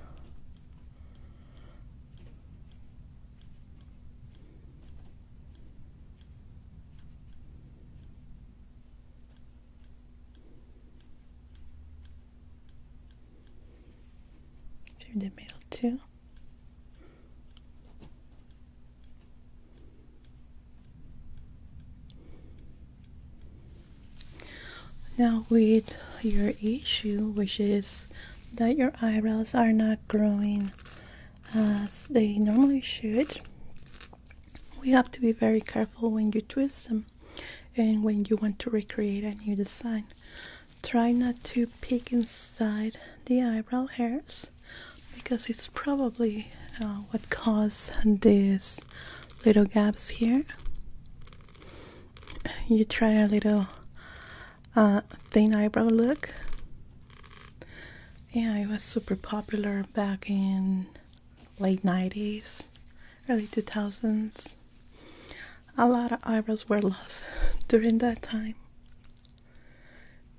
the middle too now, with your issue, which is that your eyebrows are not growing as they normally should, we have to be very careful when you twist them and when you want to recreate a new design. Try not to peek inside the eyebrow hairs because it's probably uh, what caused this little gaps here you try a little uh, thin eyebrow look yeah it was super popular back in late 90s early 2000s a lot of eyebrows were lost <laughs> during that time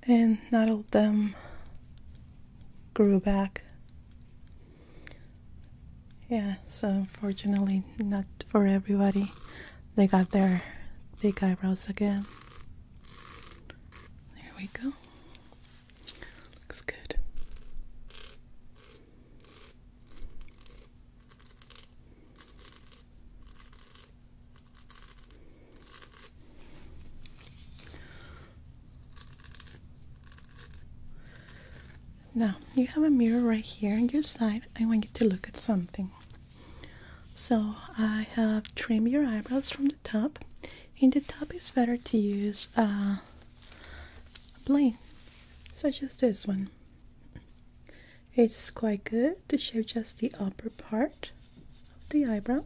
and not all of them grew back yeah so unfortunately not for everybody they got their big eyebrows again there we go looks good now, you have a mirror right here on your side. I want you to look at something. So, I have trimmed your eyebrows from the top. In the top, it's better to use a uh, plane, such as this one. It's quite good to show just the upper part of the eyebrow,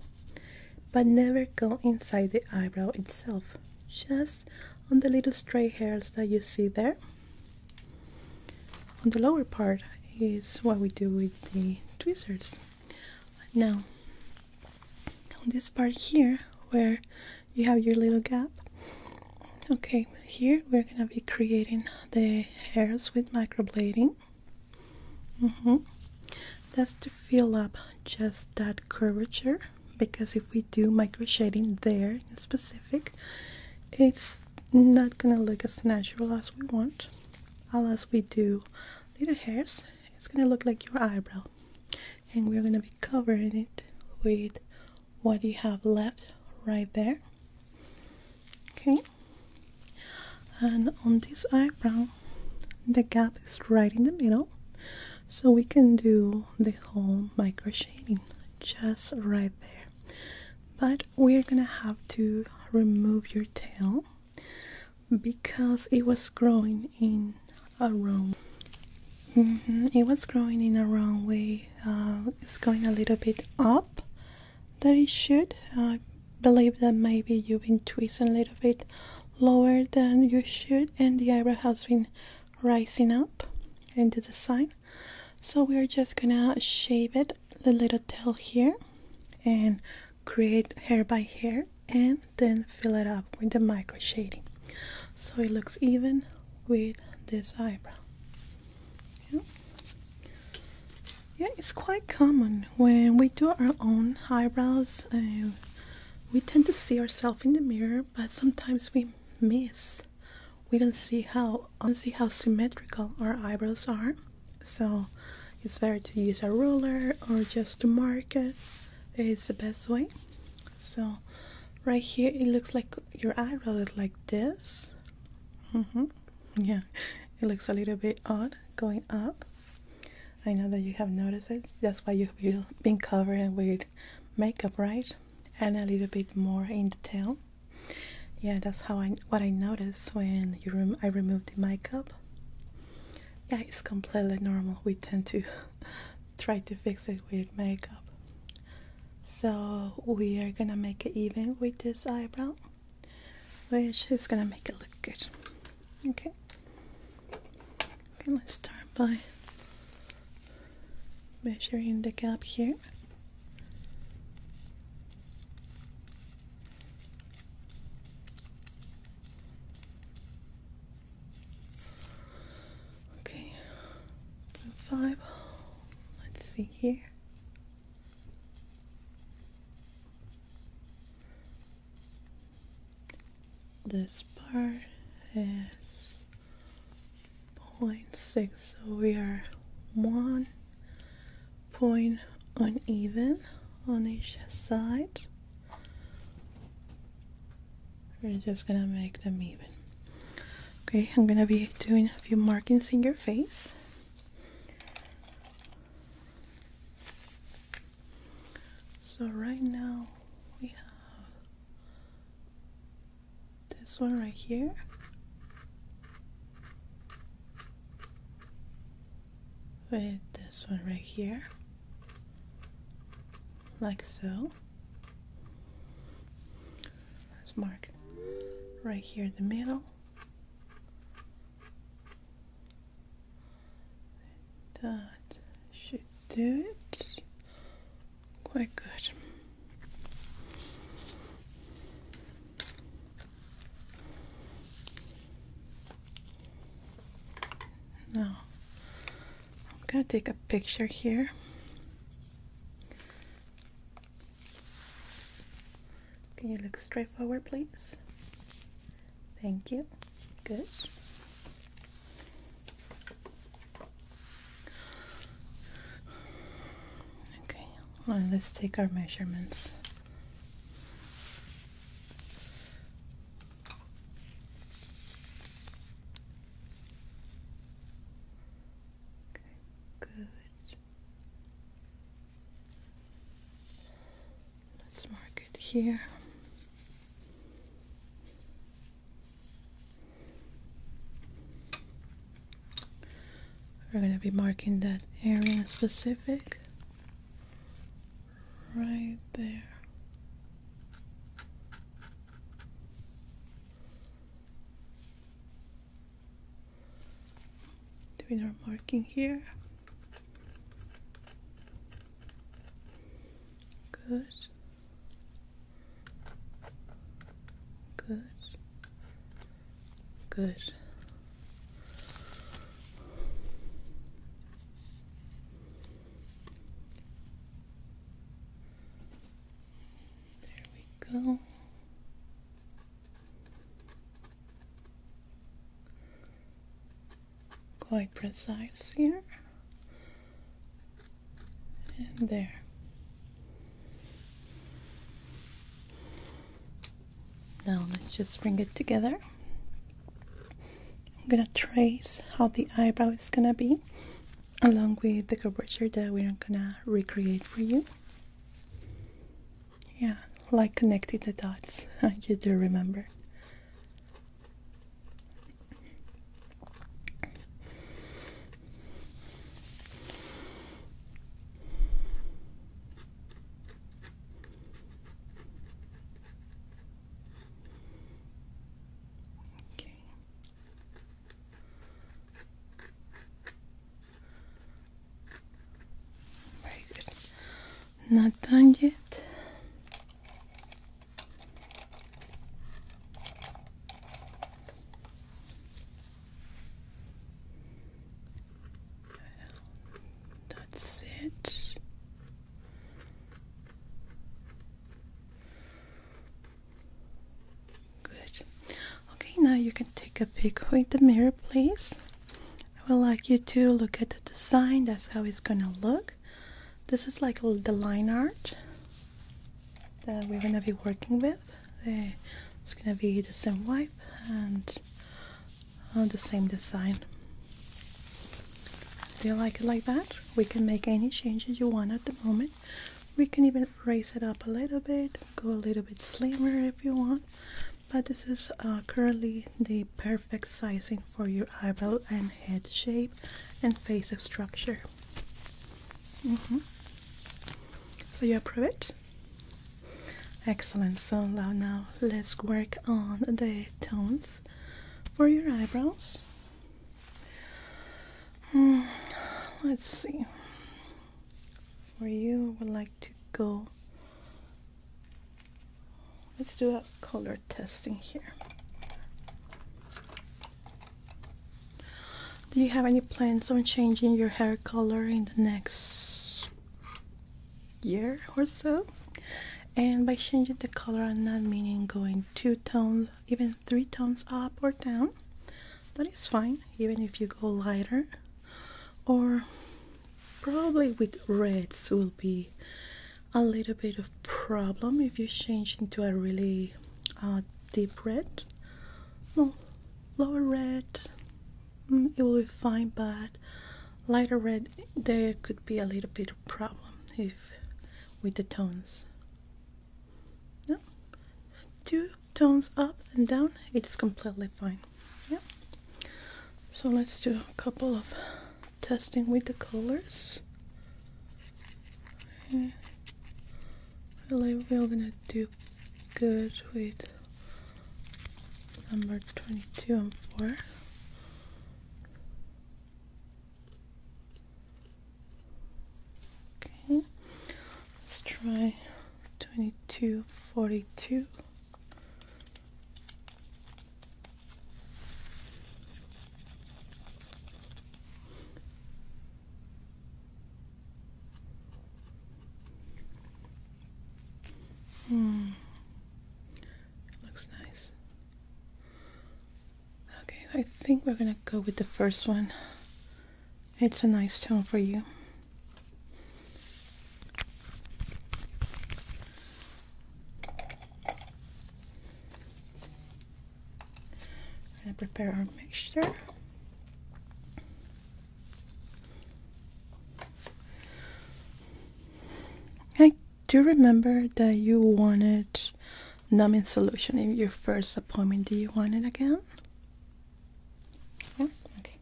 but never go inside the eyebrow itself. Just on the little stray hairs that you see there. On the lower part is what we do with the tweezers. Now, on this part here where you have your little gap, okay, here we're going to be creating the hairs with microblading. Mm That's to fill up just that curvature because if we do micro shading there specific it's not gonna look as natural as we want unless we do little hairs it's gonna look like your eyebrow and we're gonna be covering it with what you have left right there okay and on this eyebrow the gap is right in the middle so we can do the whole micro just right there but we're gonna have to remove your tail because it was growing in a wrong mm-hmm, it was growing in a wrong way uh, it's going a little bit up that it should I uh, believe that maybe you've been twisting a little bit lower than you should and the eyebrow has been rising up into the side so we are just gonna shave it the little tail here and create hair by hair and then fill it up with the micro shading so it looks even with this eyebrow yeah. it's quite common when we do our own eyebrows uh, we tend to see ourselves in the mirror, but sometimes we miss. We don't see how see how symmetrical our eyebrows are, so it's better to use a ruler or just to mark it. It's the best way. So right here, it looks like your eyebrow is like this. -hmm. Yeah, it looks a little bit odd going up. I know that you have noticed it. That's why you've been covering with makeup right and a little bit more in detail yeah that's how I what I notice when you rem I removed the makeup yeah it's completely normal we tend to <laughs> try to fix it with makeup so we are gonna make it even with this eyebrow which is gonna make it look good okay okay let's start by measuring the gap here okay five let's see here this part is point six. So we are one point uneven on each side. We're just gonna make them even. Okay, I'm gonna be doing a few markings in your face. So right now we have this one right here with this one right here like so let's mark right here in the middle that should do it Quite good. Now, I'm going to take a picture here. Can you look straight forward, please? Thank you. Good. Okay, let's take our measurements. Okay, good. Let's mark it here. We're going to be marking that area specific right there. Doing our marking here. Good. Good. Good. There we go. Quite precise here and there. Now let's just bring it together. I'm gonna trace how the eyebrow is gonna be along with the curvature that we're gonna recreate for you. Yeah, like connecting the dots, <laughs> you do remember. Okay. Very good. Not done yet. That's it. Good. Okay, now you can take a pic with the mirror, please. I would like you to look at the design. That's how it's gonna look. This is like the line art that we're gonna be working with. Uh, it's gonna be the same wipe and on uh, the same design. Do you like it like that? We can make any changes you want at the moment. We can even raise it up a little bit, go a little bit slimmer if you want. But this is uh, currently the perfect sizing for your eyebrow and head shape and face structure. Mm -hmm. So you approve it? Excellent. So now let's work on the tones for your eyebrows. Mm, let's see. Where you, would like to go. Let's do a color testing here. Do you have any plans on changing your hair color in the next year or so? And by changing the color, I'm not meaning going two tones, even three tones up or down. That is fine, even if you go lighter. Or probably with reds will be a little bit of problem if you change into a really uh, deep red, no lower red, mm, it will be fine, but lighter red, there could be a little bit of problem if with the tones. Yeah. Two tones up and down, it's completely fine. Yeah. So let's do a couple of testing with the colors really we're gonna do good with number 22 and 4 okay let's try twenty-two forty-two. Hmm. Looks nice. Okay, I think we're gonna go with the first one. It's a nice tone for you we prepare our mixture. I do remember that you wanted numbing solution in your first appointment. Do you want it again? Yeah? Okay.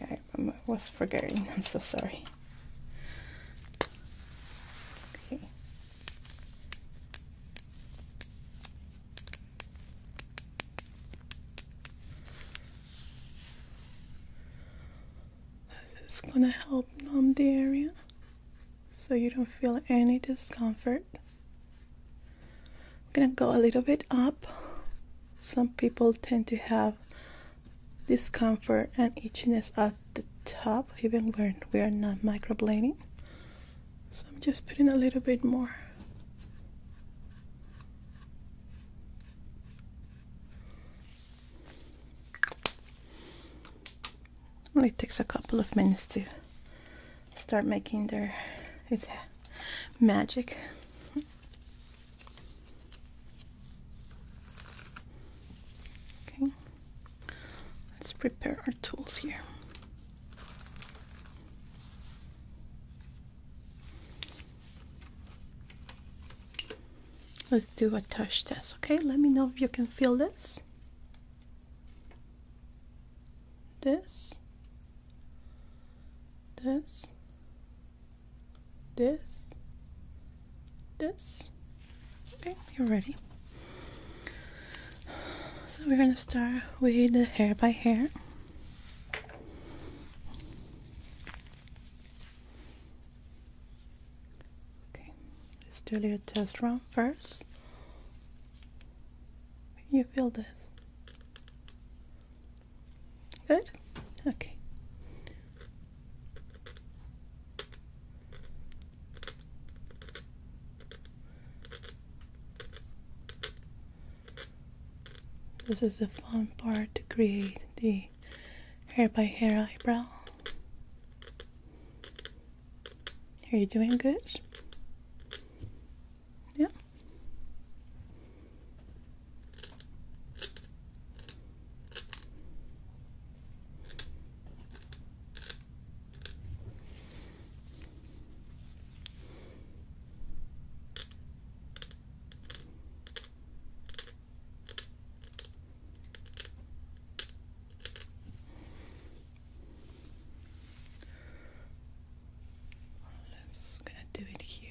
Yeah, I was forgetting. <laughs> I'm so sorry. Okay. This is gonna help numb the area so you don't feel any discomfort. I'm gonna go a little bit up. Some people tend to have discomfort and itchiness at the top even when we are not microblading. So I'm just putting a little bit more. Only takes a couple of minutes to start making their it's magic. Okay, let's prepare our tools here. Let's do a touch test, okay? Let me know if you can feel this. This. This. This. This. Okay, you're ready. So we're going to start with the hair by hair. Okay, let do a little test run first. you feel this? Good? Okay. This is the fun part to create the hair by hair eyebrow. Are you doing good? Yeah. Let's gonna do it here.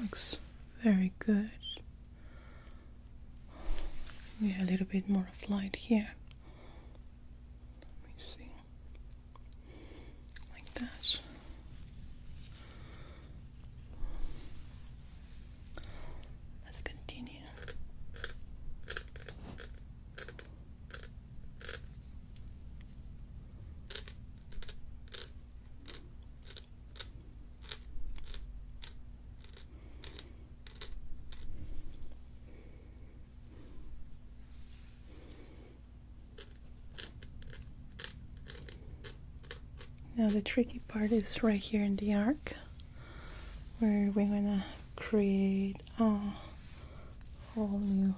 looks very good. Yeah, a little bit more of light here. Let me see. Like that. Let's continue. Now the tricky part is right here in the arc where we're gonna create create oh. a whole new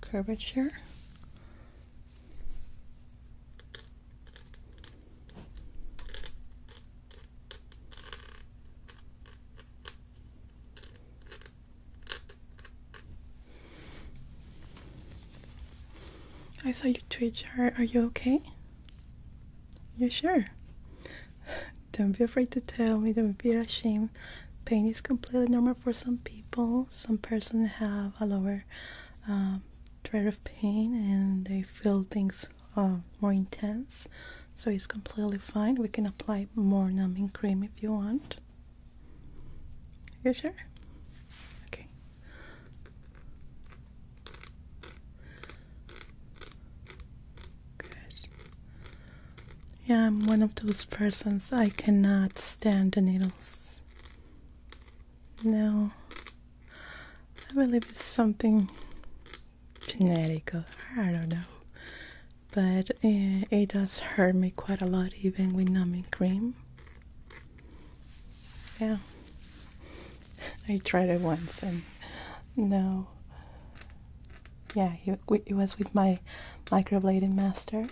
curvature. I saw you twitch. Are, are you okay? You sure? Don't be afraid to tell me. Don't be ashamed pain. is completely normal for some people. Some persons have a lower um, threshold of pain and they feel things uh, more intense. So it's completely fine. We can apply more numbing cream if you want. You sure? Okay. Good. Yeah, I'm one of those persons. I cannot stand the needles. No. I believe it's something genetic. I don't know. But eh, it does hurt me quite a lot, even with numbing cream. Yeah. I tried it once and no. Yeah, it was with my microblading master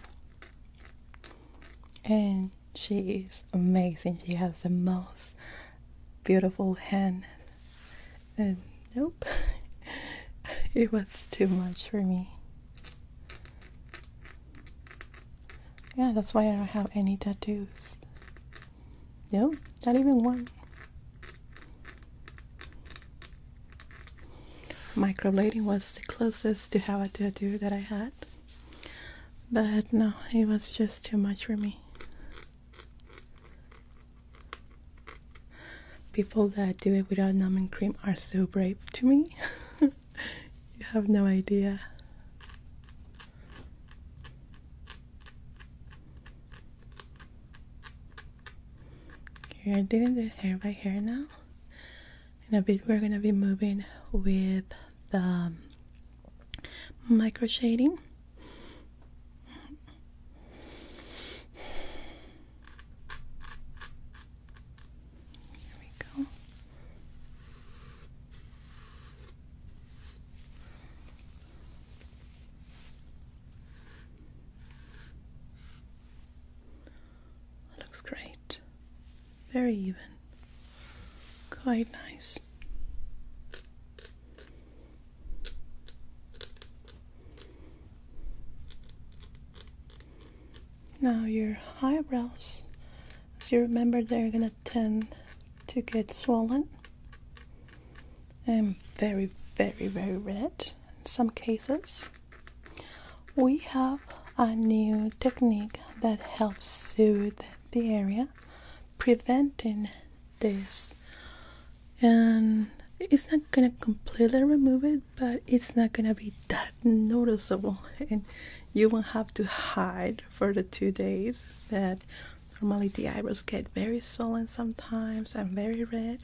and she is amazing. She has the most beautiful hand. nope, <laughs> it was too much for me. Yeah, that's why I don't have any tattoos. Nope, not even one. Microblading was the closest to how a tattoo that I had, but no, it was just too much for me. People that do it without numbing cream are so brave to me. <laughs> you have no idea. You're doing the hair by hair now in a bit we're going to be moving with the micro shading there we go looks great. Very even. Quite nice. Now your eyebrows, as you remember, they're gonna tend to get swollen and very, very, very red in some cases. We have a new technique that helps soothe the area, preventing this. And it's not gonna completely remove it, but it's not gonna be that noticeable, and you won't have to hide for the two days that normally the eyebrows get very swollen sometimes and very red.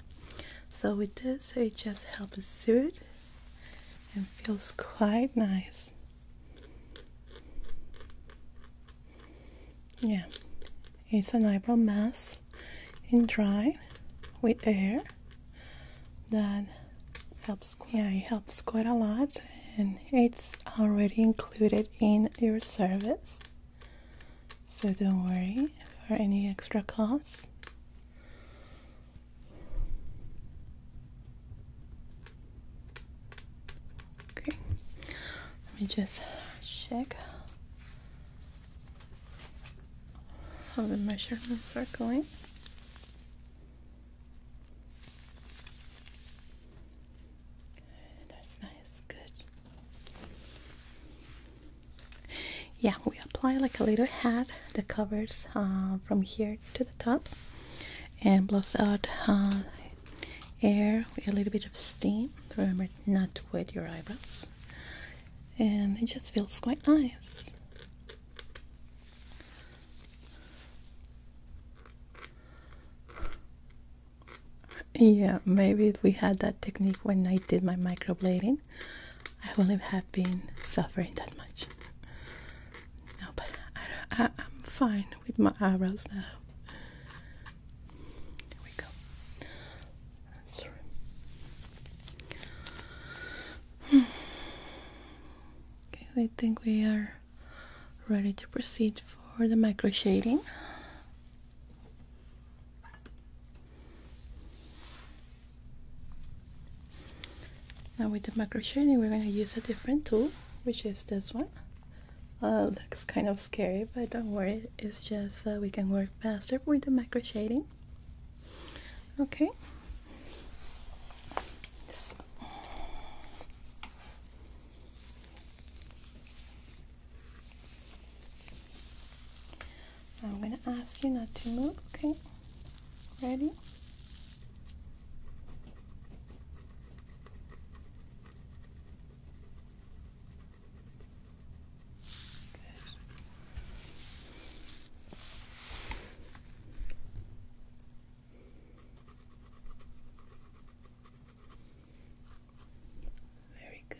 So with this, it just helps soothe it feels quite nice. Yeah, it's an eyebrow mask in dry with air that helps. Yeah, it helps quite a lot, and it's already included in your service, so don't worry for any extra costs. Okay, let me just check how the measurements are going. That's nice, good yeah we apply like a little hat that covers uh, from here to the top and blows out uh, air with a little bit of steam remember not to wet your eyebrows and it just feels quite nice yeah maybe we had that technique when i did my microblading I wouldn't have been suffering that much. No, but I, am fine with my eyebrows now. There we go. Okay, I think we are ready to proceed for the micro shading now with the macro shading we're going to use a different tool which is this one uh, looks kind of scary but don't worry it's just uh, we can work faster with the macro shading okay I'm gonna ask you not to move, okay? ready Good. Very good.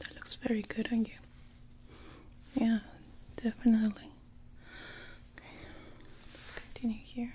That looks very good on you. Yeah, definitely. let's continue here.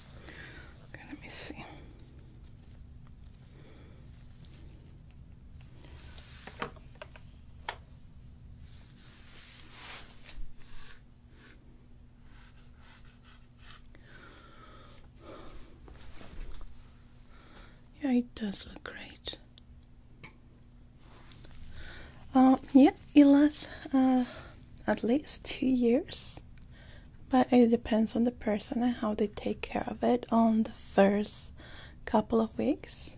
let me see. Yeah, it does look great. Uh, yeah, Elas, uh, at least two years. But it depends on the person and how they take care of it on the first couple of weeks.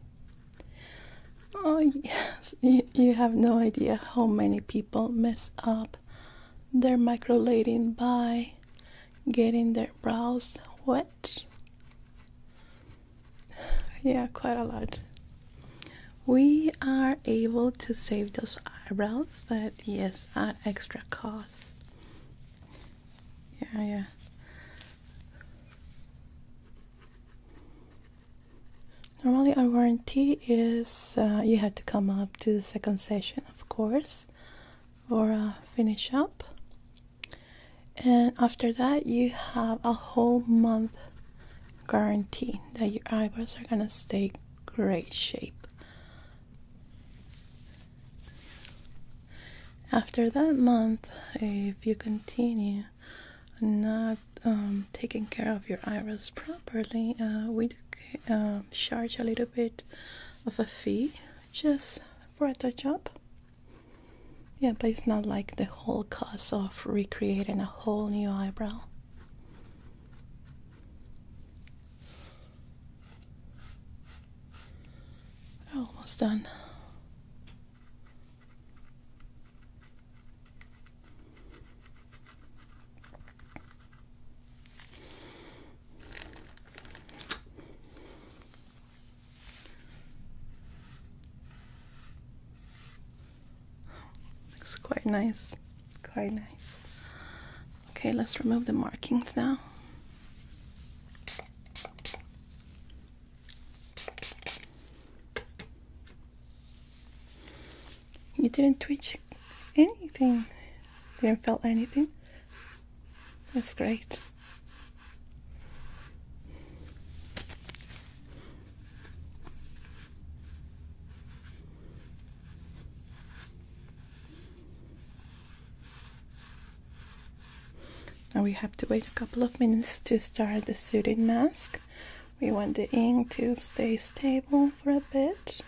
Oh, yes, you, have no idea how many people mess up their microblading by getting their brows wet. <sighs> Yeah, quite a lot we are able to save those eyebrows, but yes, at extra cost. Yeah, yeah. Normally, our warranty is uh, you have to come up to the second session, of course, for a uh, finish up, and after that, you have a whole month guarantee that your eyebrows are gonna stay great shape. After that month, if you continue not um, taking care of your eyebrows properly, uh, we do, um, charge a little bit of a fee just for a touch up. Yeah, but it's not like the whole cost of recreating a whole new eyebrow almost done. Looks quite nice. Quite nice. Okay, let's remove the markings now. You didn't twitch anything. Didn't feel anything. That's great. Now we have to wait a couple of minutes to start the soothing mask. We want the ink to stay stable for a bit.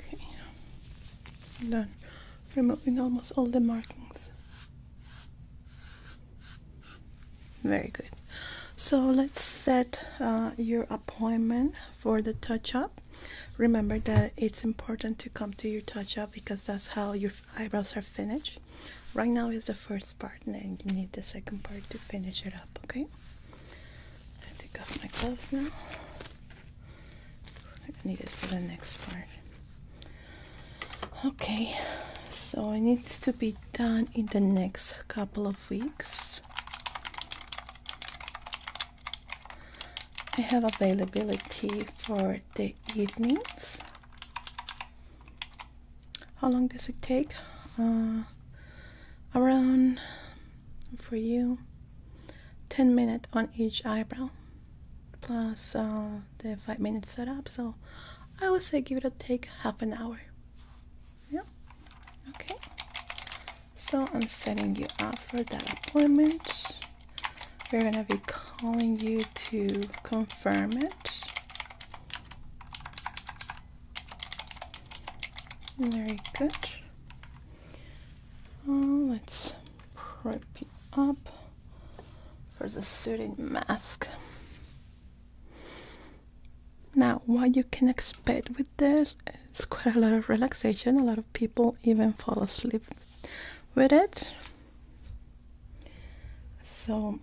Okay, done removing almost all the markings. Very good. So let's set uh, your appointment for the touch-up. Remember that it's important to come to your touch-up because that's how your eyebrows are finished. Right now is the first part and you need the second part to finish it up, okay? I take off my gloves now. I need it for the next part. Okay, so it needs to be done in the next couple of weeks. I have availability for the evenings. How long does it take? Uh, around for you 10 minutes on each eyebrow plus uh, the five minutes setup. So I would say give it a take half an hour. Yeah. Okay. So I'm setting you up for that appointment. We're gonna be calling you to confirm it. Very good. Oh, let's prep it up for the soothing mask. Now, what you can expect with this is quite a lot of relaxation. A lot of people even fall asleep with it. So,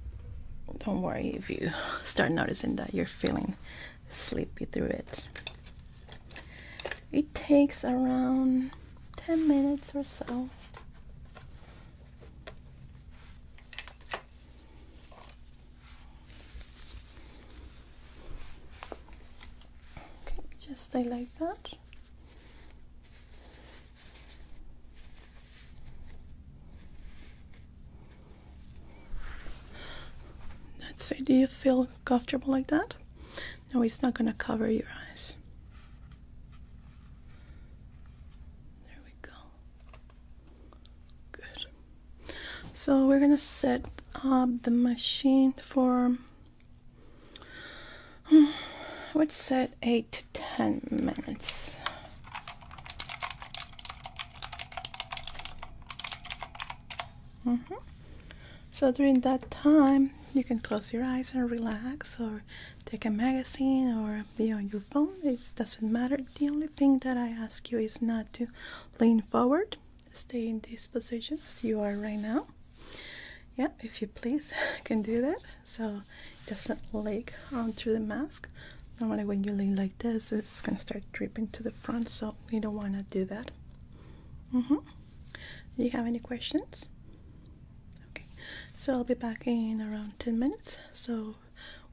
don't worry if you <laughs> start noticing that you're feeling sleepy through it. It takes around 10 minutes or so Okay, just stay like that. That's it. Do you feel comfortable like that? No, it's not going to cover your eyes. There we go. Good. So we're gonna set up the machine for. I hmm, would set eight to ten minutes. Mm -hmm. So during that time, you can close your eyes and relax, or take a magazine or be on your phone. It doesn't matter. The only thing that I ask you is not to lean forward. Stay in this position as you are right now. Yeah, if you please, <laughs> can do that. So it doesn't leak onto the mask. Normally when you lean like this, it's gonna start dripping to the front, so we don't wanna do that. Mm-hmm. Do you have any questions? Okay, so I'll be back in around 10 minutes so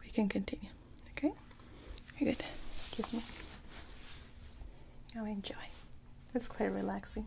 we can continue. Okay, very good. Excuse me. Now enjoy, it's quite relaxing.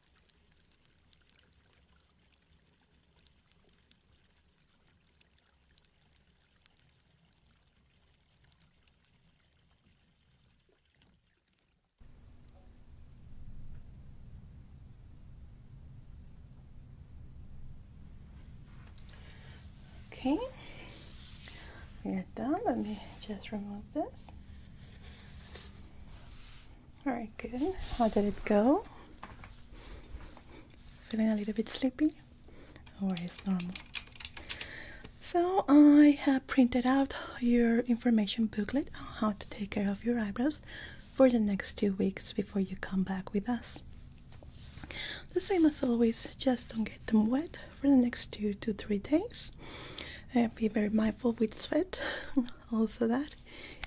Okay, you are done. Let me just remove this. All right, good. How did it go? Feeling a little bit sleepy? always normal? So I have printed out your information booklet on how to take care of your eyebrows for the next two weeks before you come back with us. The same as always, just don't get them wet for the next two to three days. And uh, be very mindful with sweat. <laughs> also that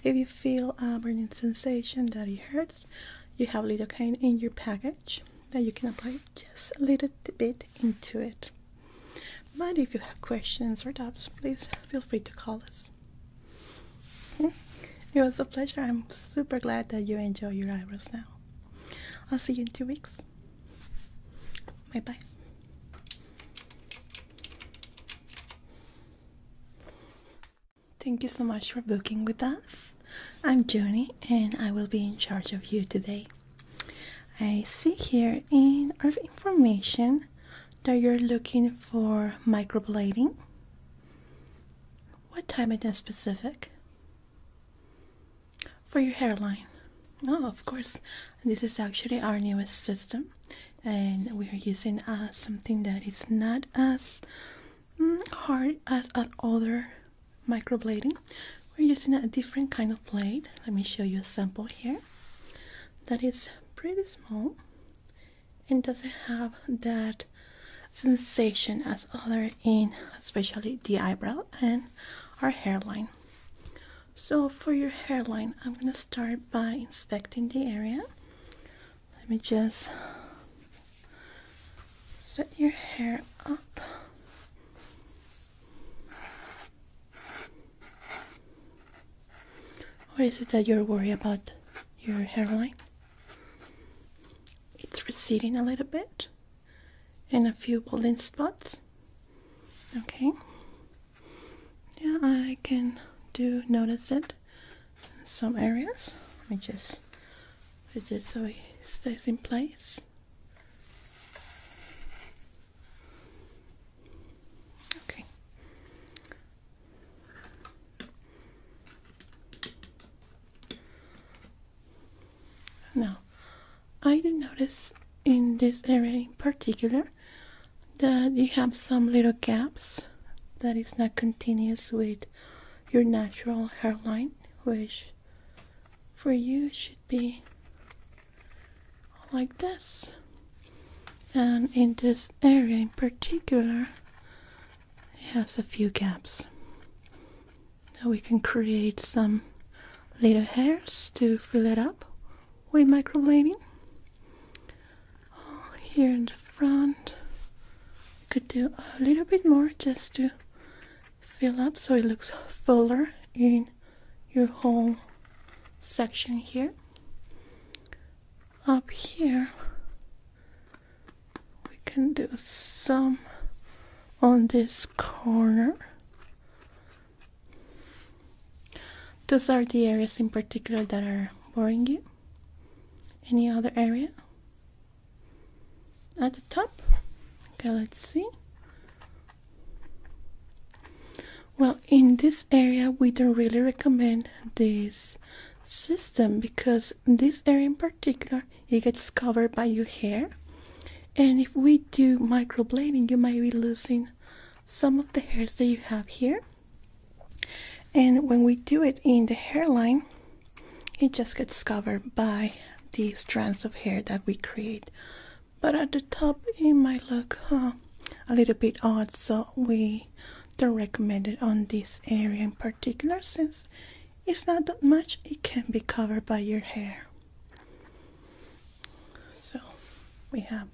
if you feel a burning sensation that it hurts, you have lidocaine in your package that you can apply just a little bit into it. But if you have questions or doubts, please feel free to call us. It was a pleasure. I'm super glad that you enjoy your eyebrows now. I'll see you in two weeks. Bye bye. Thank you so much for booking with us. I'm Joni and I will be in charge of you today. I see here in our information that you're looking for microblading. What time in specific? For your hairline. Oh, of course. This is actually our newest system and we are using uh, something that is not as mm, hard as an other microblading. We're using a different kind of blade. Let me show you a sample here that is pretty small and doesn't have that sensation as other in especially the eyebrow and our hairline. So for your hairline, I'm going to start by inspecting the area. Let me just set your hair up. Or is it that you're worried about your hairline? It's receding a little bit in a few balding spots. Okay yeah, I can do notice it in some areas. Let me just fidget it so it stays in place. Okay. Now, I do notice in this area in particular that you have some little gaps that is not continuous with your natural hairline, which for you should be like this. And in this area in particular, it has a few gaps. Now we can create some little hairs to fill it up with microblading here in the front could do a little bit more just to fill up so it looks fuller in your whole section here up here we can do some on this corner those are the areas in particular that are boring you. Any other area? At the top? Okay, let's see. Well, in this area, we don't really recommend this system because this area in particular, it gets covered by your hair. And if we do microblading, you might be losing some of the hairs that you have here. And when we do it in the hairline, it just gets covered by the strands of hair that we create. But at the top, it might look a little bit odd, so we don't recommend it on this area in particular since it's not that much, it can be covered by your hair. So we have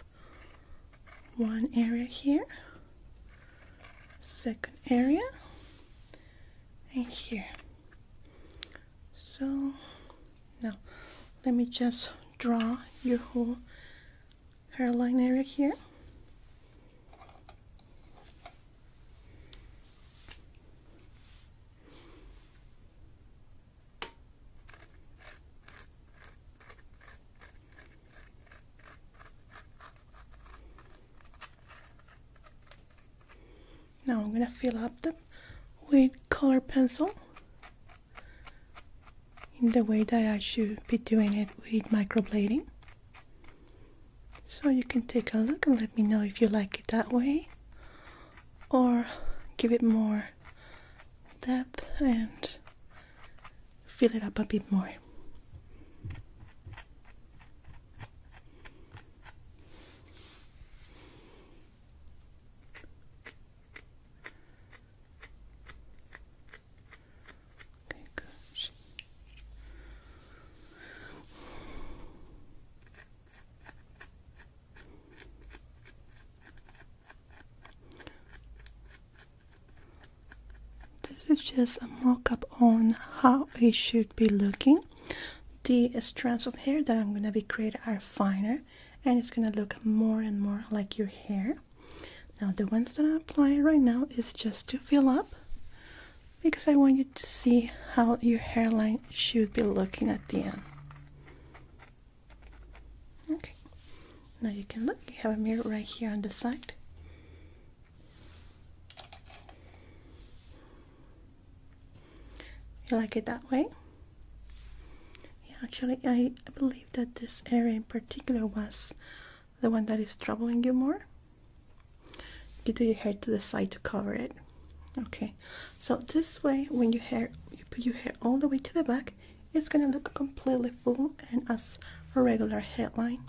one area here second area and here so now let me just draw your whole hairline area here now I'm gonna fill up them with color pencil in the way that I should be doing it with microblading. So you can take a look and let me know if you like it that way or give it more depth and fill it up a bit more. Okay, good. This is just a mock-up on how it should be looking. The strands of hair that I'm going to be creating are finer and it's going to look more and more like your hair. Now the ones that i apply right now is just to fill up because I want you to see how your hairline should be looking at the end. Okay, now you can look, you have a mirror right here on the side. You like it that way? Yeah, actually, I believe that this area in particular was the one that is troubling you more. You do your hair to the side to cover it. Okay, so this way, when you hair you put your hair all the way to the back, it's gonna look completely full and as a regular headline.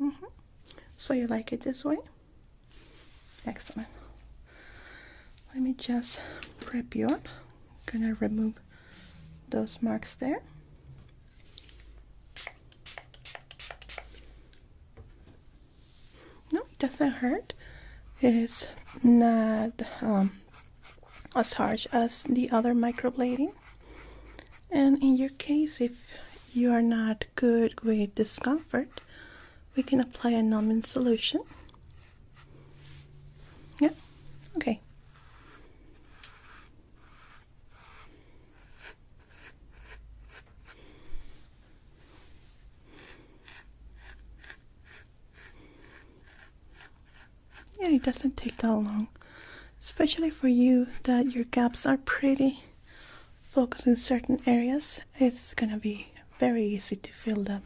Mm-hmm. So you like it this way? Excellent. Let me just prep you up. gonna remove those marks there. No, it doesn't hurt. It's not um, as harsh as the other microblading. And in your case, if you are not good with discomfort, we can apply a numbing solution. Yeah, okay. Yeah, it doesn't take that long, especially for you that your gaps are pretty focused in certain areas. It's gonna be very easy to fill that.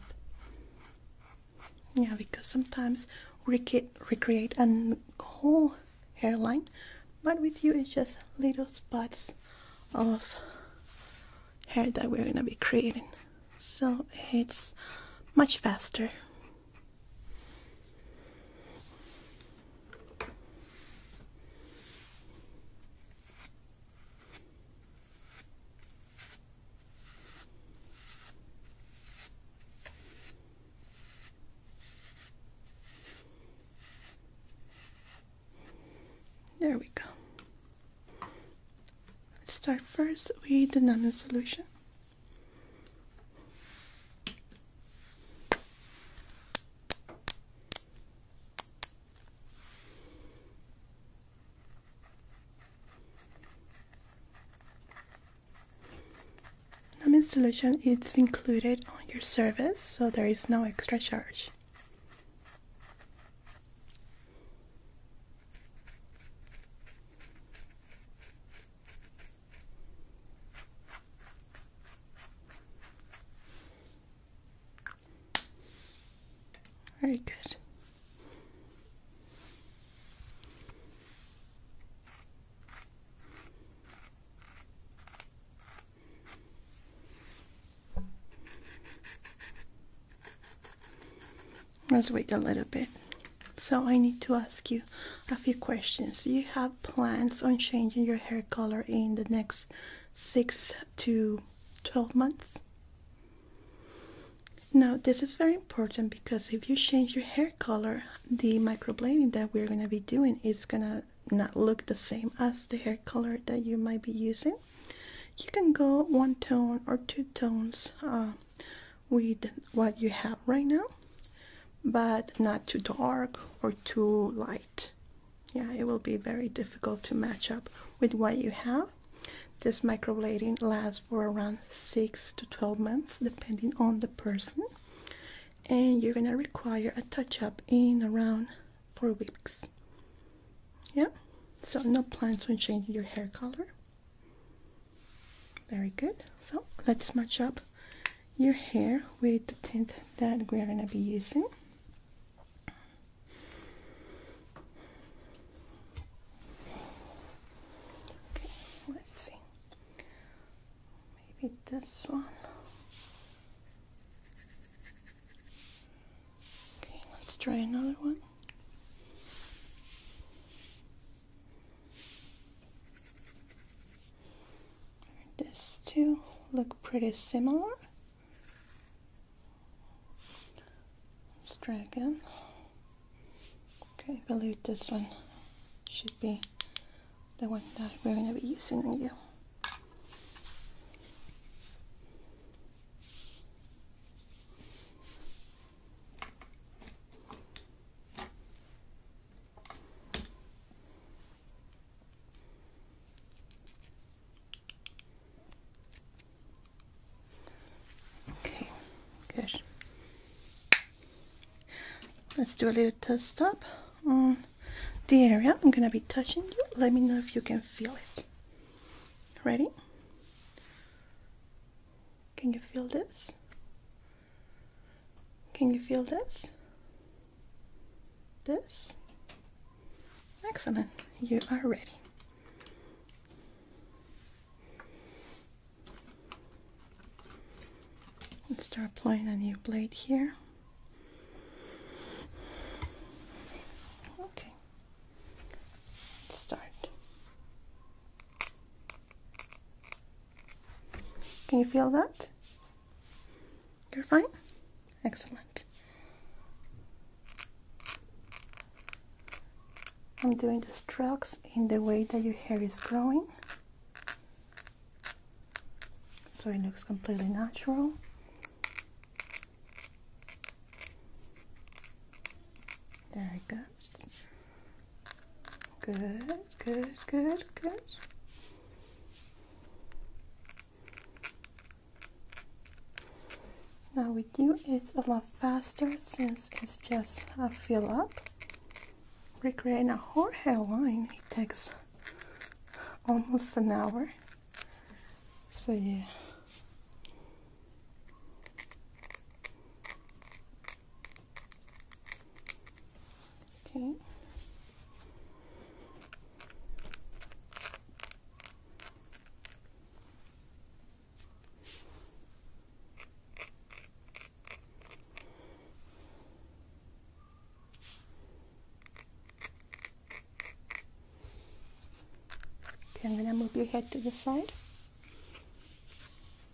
Yeah, because sometimes we recreate a whole hairline, but with you it's just little spots of hair that we're gonna be creating. So it's much faster. There we go. Let's start first with the nano solution. Numb installation is included on your service, so there is no extra charge. Very good. Let's wait a little bit. So I need to ask you a few questions. Do you have plans on changing your hair color in the next 6 to 12 months? Now, this is very important because if you change your hair color, the microblading that we're going to be doing is going to not look the same as the hair color that you might be using. You can go one tone or two tones uh, with what you have right now but not too dark or too light yeah it will be very difficult to match up with what you have this microblading lasts for around 6 to 12 months depending on the person and you're gonna require a touch-up in around 4 weeks yeah so no plans on changing your hair color very good. So let's match up your hair with the tint that we're going to be using. Okay, let's see. Maybe this one. Okay, let's try another one. These two look pretty similar. Let's try again. Okay, I believe this one should be the one that we're going to be using on you. Okay, good. Let's do a little test up on the area I'm gonna be touching you. Let me know if you can feel it. Ready? Can you feel this? Can you feel this? This? Excellent. You are ready. Let's start applying a new blade here. Okay. start. Can you feel that? You're fine? Excellent. I'm doing the strokes in the way that your hair is growing so it looks completely natural. There it goes. Good, good, good, good. Now with you it's a lot faster since it's just a fill up. Recreating a whole hairline it takes almost an hour. So yeah. Okay. Okay, I'm going to move your head to the side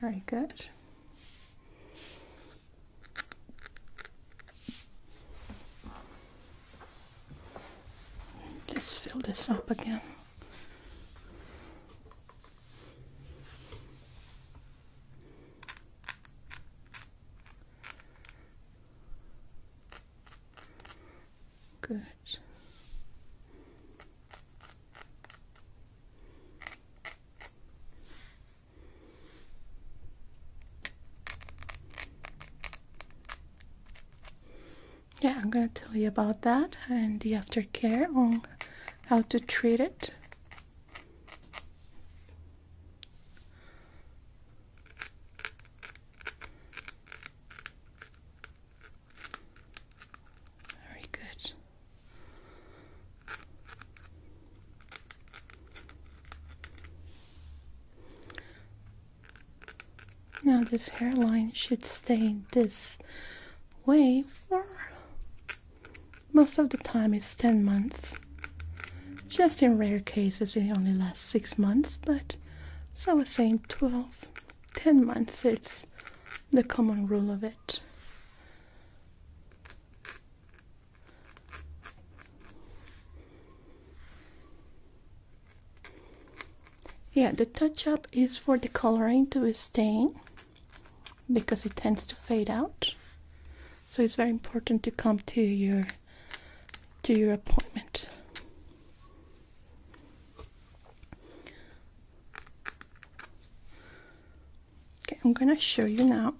Very good. Let's fill this up again. Good. Yeah, I'm going to tell you about that and the aftercare on how to treat it. Very good. Now, this hairline should stay this way for most of the time, it's 10 months. Just in rare cases, it only lasts 6 months, but so I was saying 12, 10 months, it's the common rule of it. Yeah, the touch-up is for the coloring to stay, because it tends to fade out. So it's very important to come to your to your appointment. Okay, I'm gonna show you now.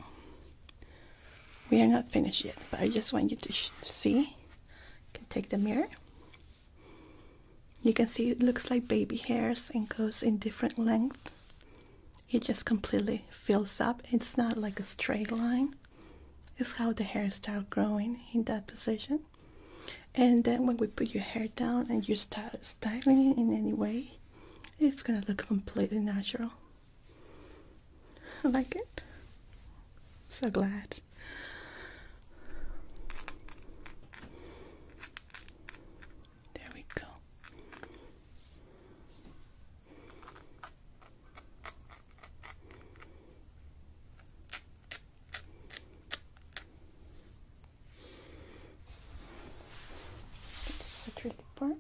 We are not finished yet, but I just want you to see. You can take the mirror. You can see it looks like baby hairs and goes in different length. It just completely fills up. It's not like a straight line. It's how the hair start growing in that position. And then when we put your hair down and you start styling it in any way, it's gonna look completely natural. I like it. So glad. There we go the tricky part.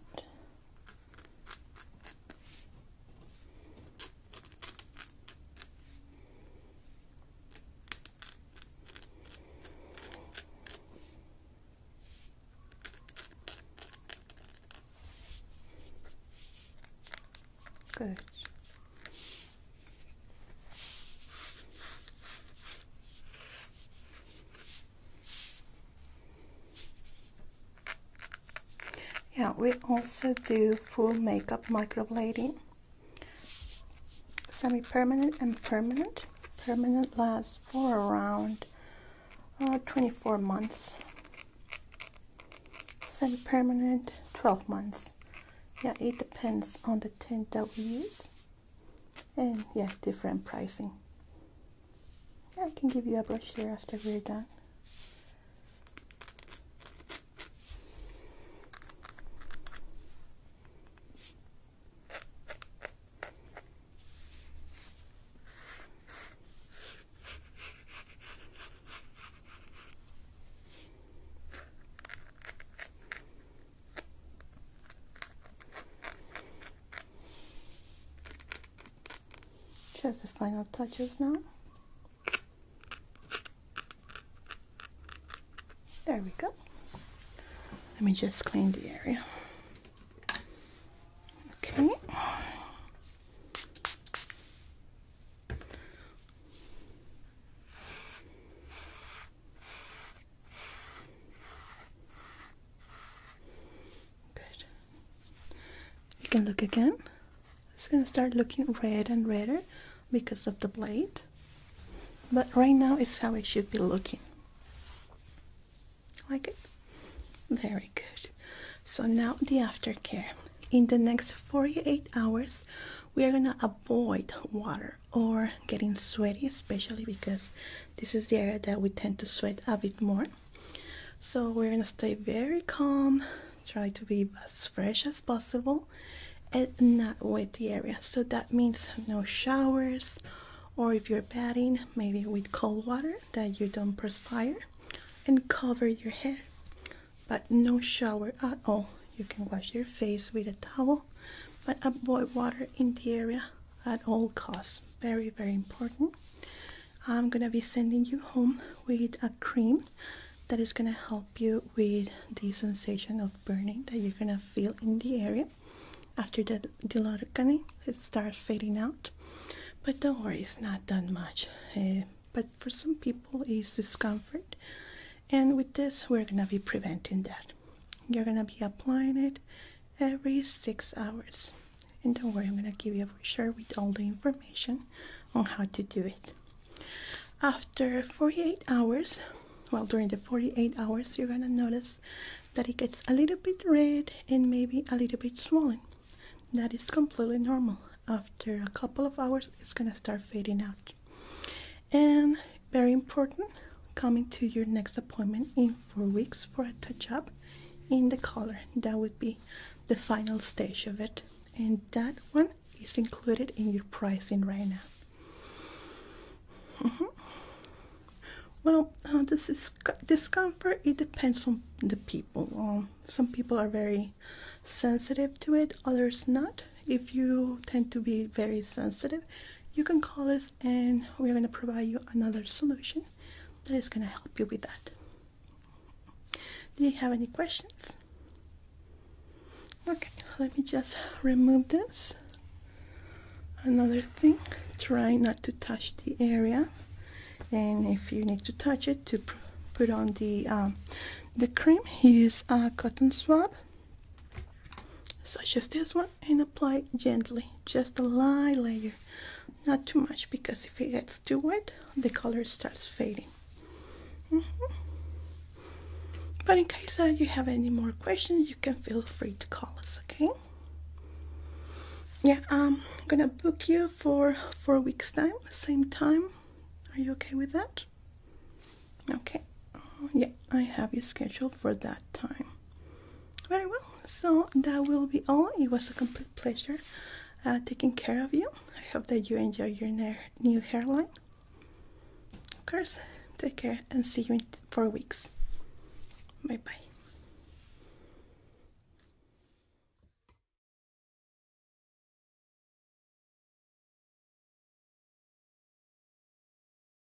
Good. Yeah, we also do full makeup microblading. Semi-permanent and permanent. Permanent lasts for around uh, 24 months. Semi-permanent, 12 months. Yeah, it depends on the tint that we use and yeah different pricing I can give you a brush here after we're done just the final touches now. There we go. Let me just clean the area. Okay. Good. You can look again. It's gonna start looking red and redder because of the blade, but right now it's how it should be looking. Like it? Very good. So now the aftercare. In the next 48 hours, we are gonna avoid water or getting sweaty, especially because this is the area that we tend to sweat a bit more. So we're gonna stay very calm, try to be as fresh as possible and not wet the area. So that means no showers or if you're bathing, maybe with cold water that you don't perspire and cover your hair. But no shower at all. You can wash your face with a towel, but avoid water in the area at all costs. Very, very important. I'm gonna be sending you home with a cream that is gonna help you with the sensation of burning that you're gonna feel in the area after the diloracane it starts fading out but don't worry it's not done much eh? but for some people it's discomfort and with this we're gonna be preventing that you're gonna be applying it every six hours. And don't worry, I'm gonna give you a brochure with all the information on how to do it. After 48 hours, well, during the 48 hours, you're gonna notice that it gets a little bit red and maybe a little bit swollen. That is completely normal. After a couple of hours, it's gonna start fading out. And very important, coming to your next appointment in four weeks for a touch up in the color That would be the final stage of it, and that one is included in your pricing right now. Mm-hmm. Well, uh, this is discomfort. It depends on the people. Um, some people are very sensitive to it, others not. If you tend to be very sensitive, you can call us and we're going to provide you another solution that is going to help you with that do you have any questions okay let me just remove this another thing try not to touch the area and if you need to touch it to put on the um, the cream use a cotton swab such as this one and apply gently just a light layer not too much because if it gets too wet the color starts fading mm-hmm. but in case you have any more questions you can feel free to call us okay yeah i'm gonna book you for four weeks time same time are you okay with that okay yeah i have you scheduled for that time very well so that will be all it was a complete pleasure uh, taking care of you i hope that you enjoy your new hairline of course take care and see you in four weeks bye bye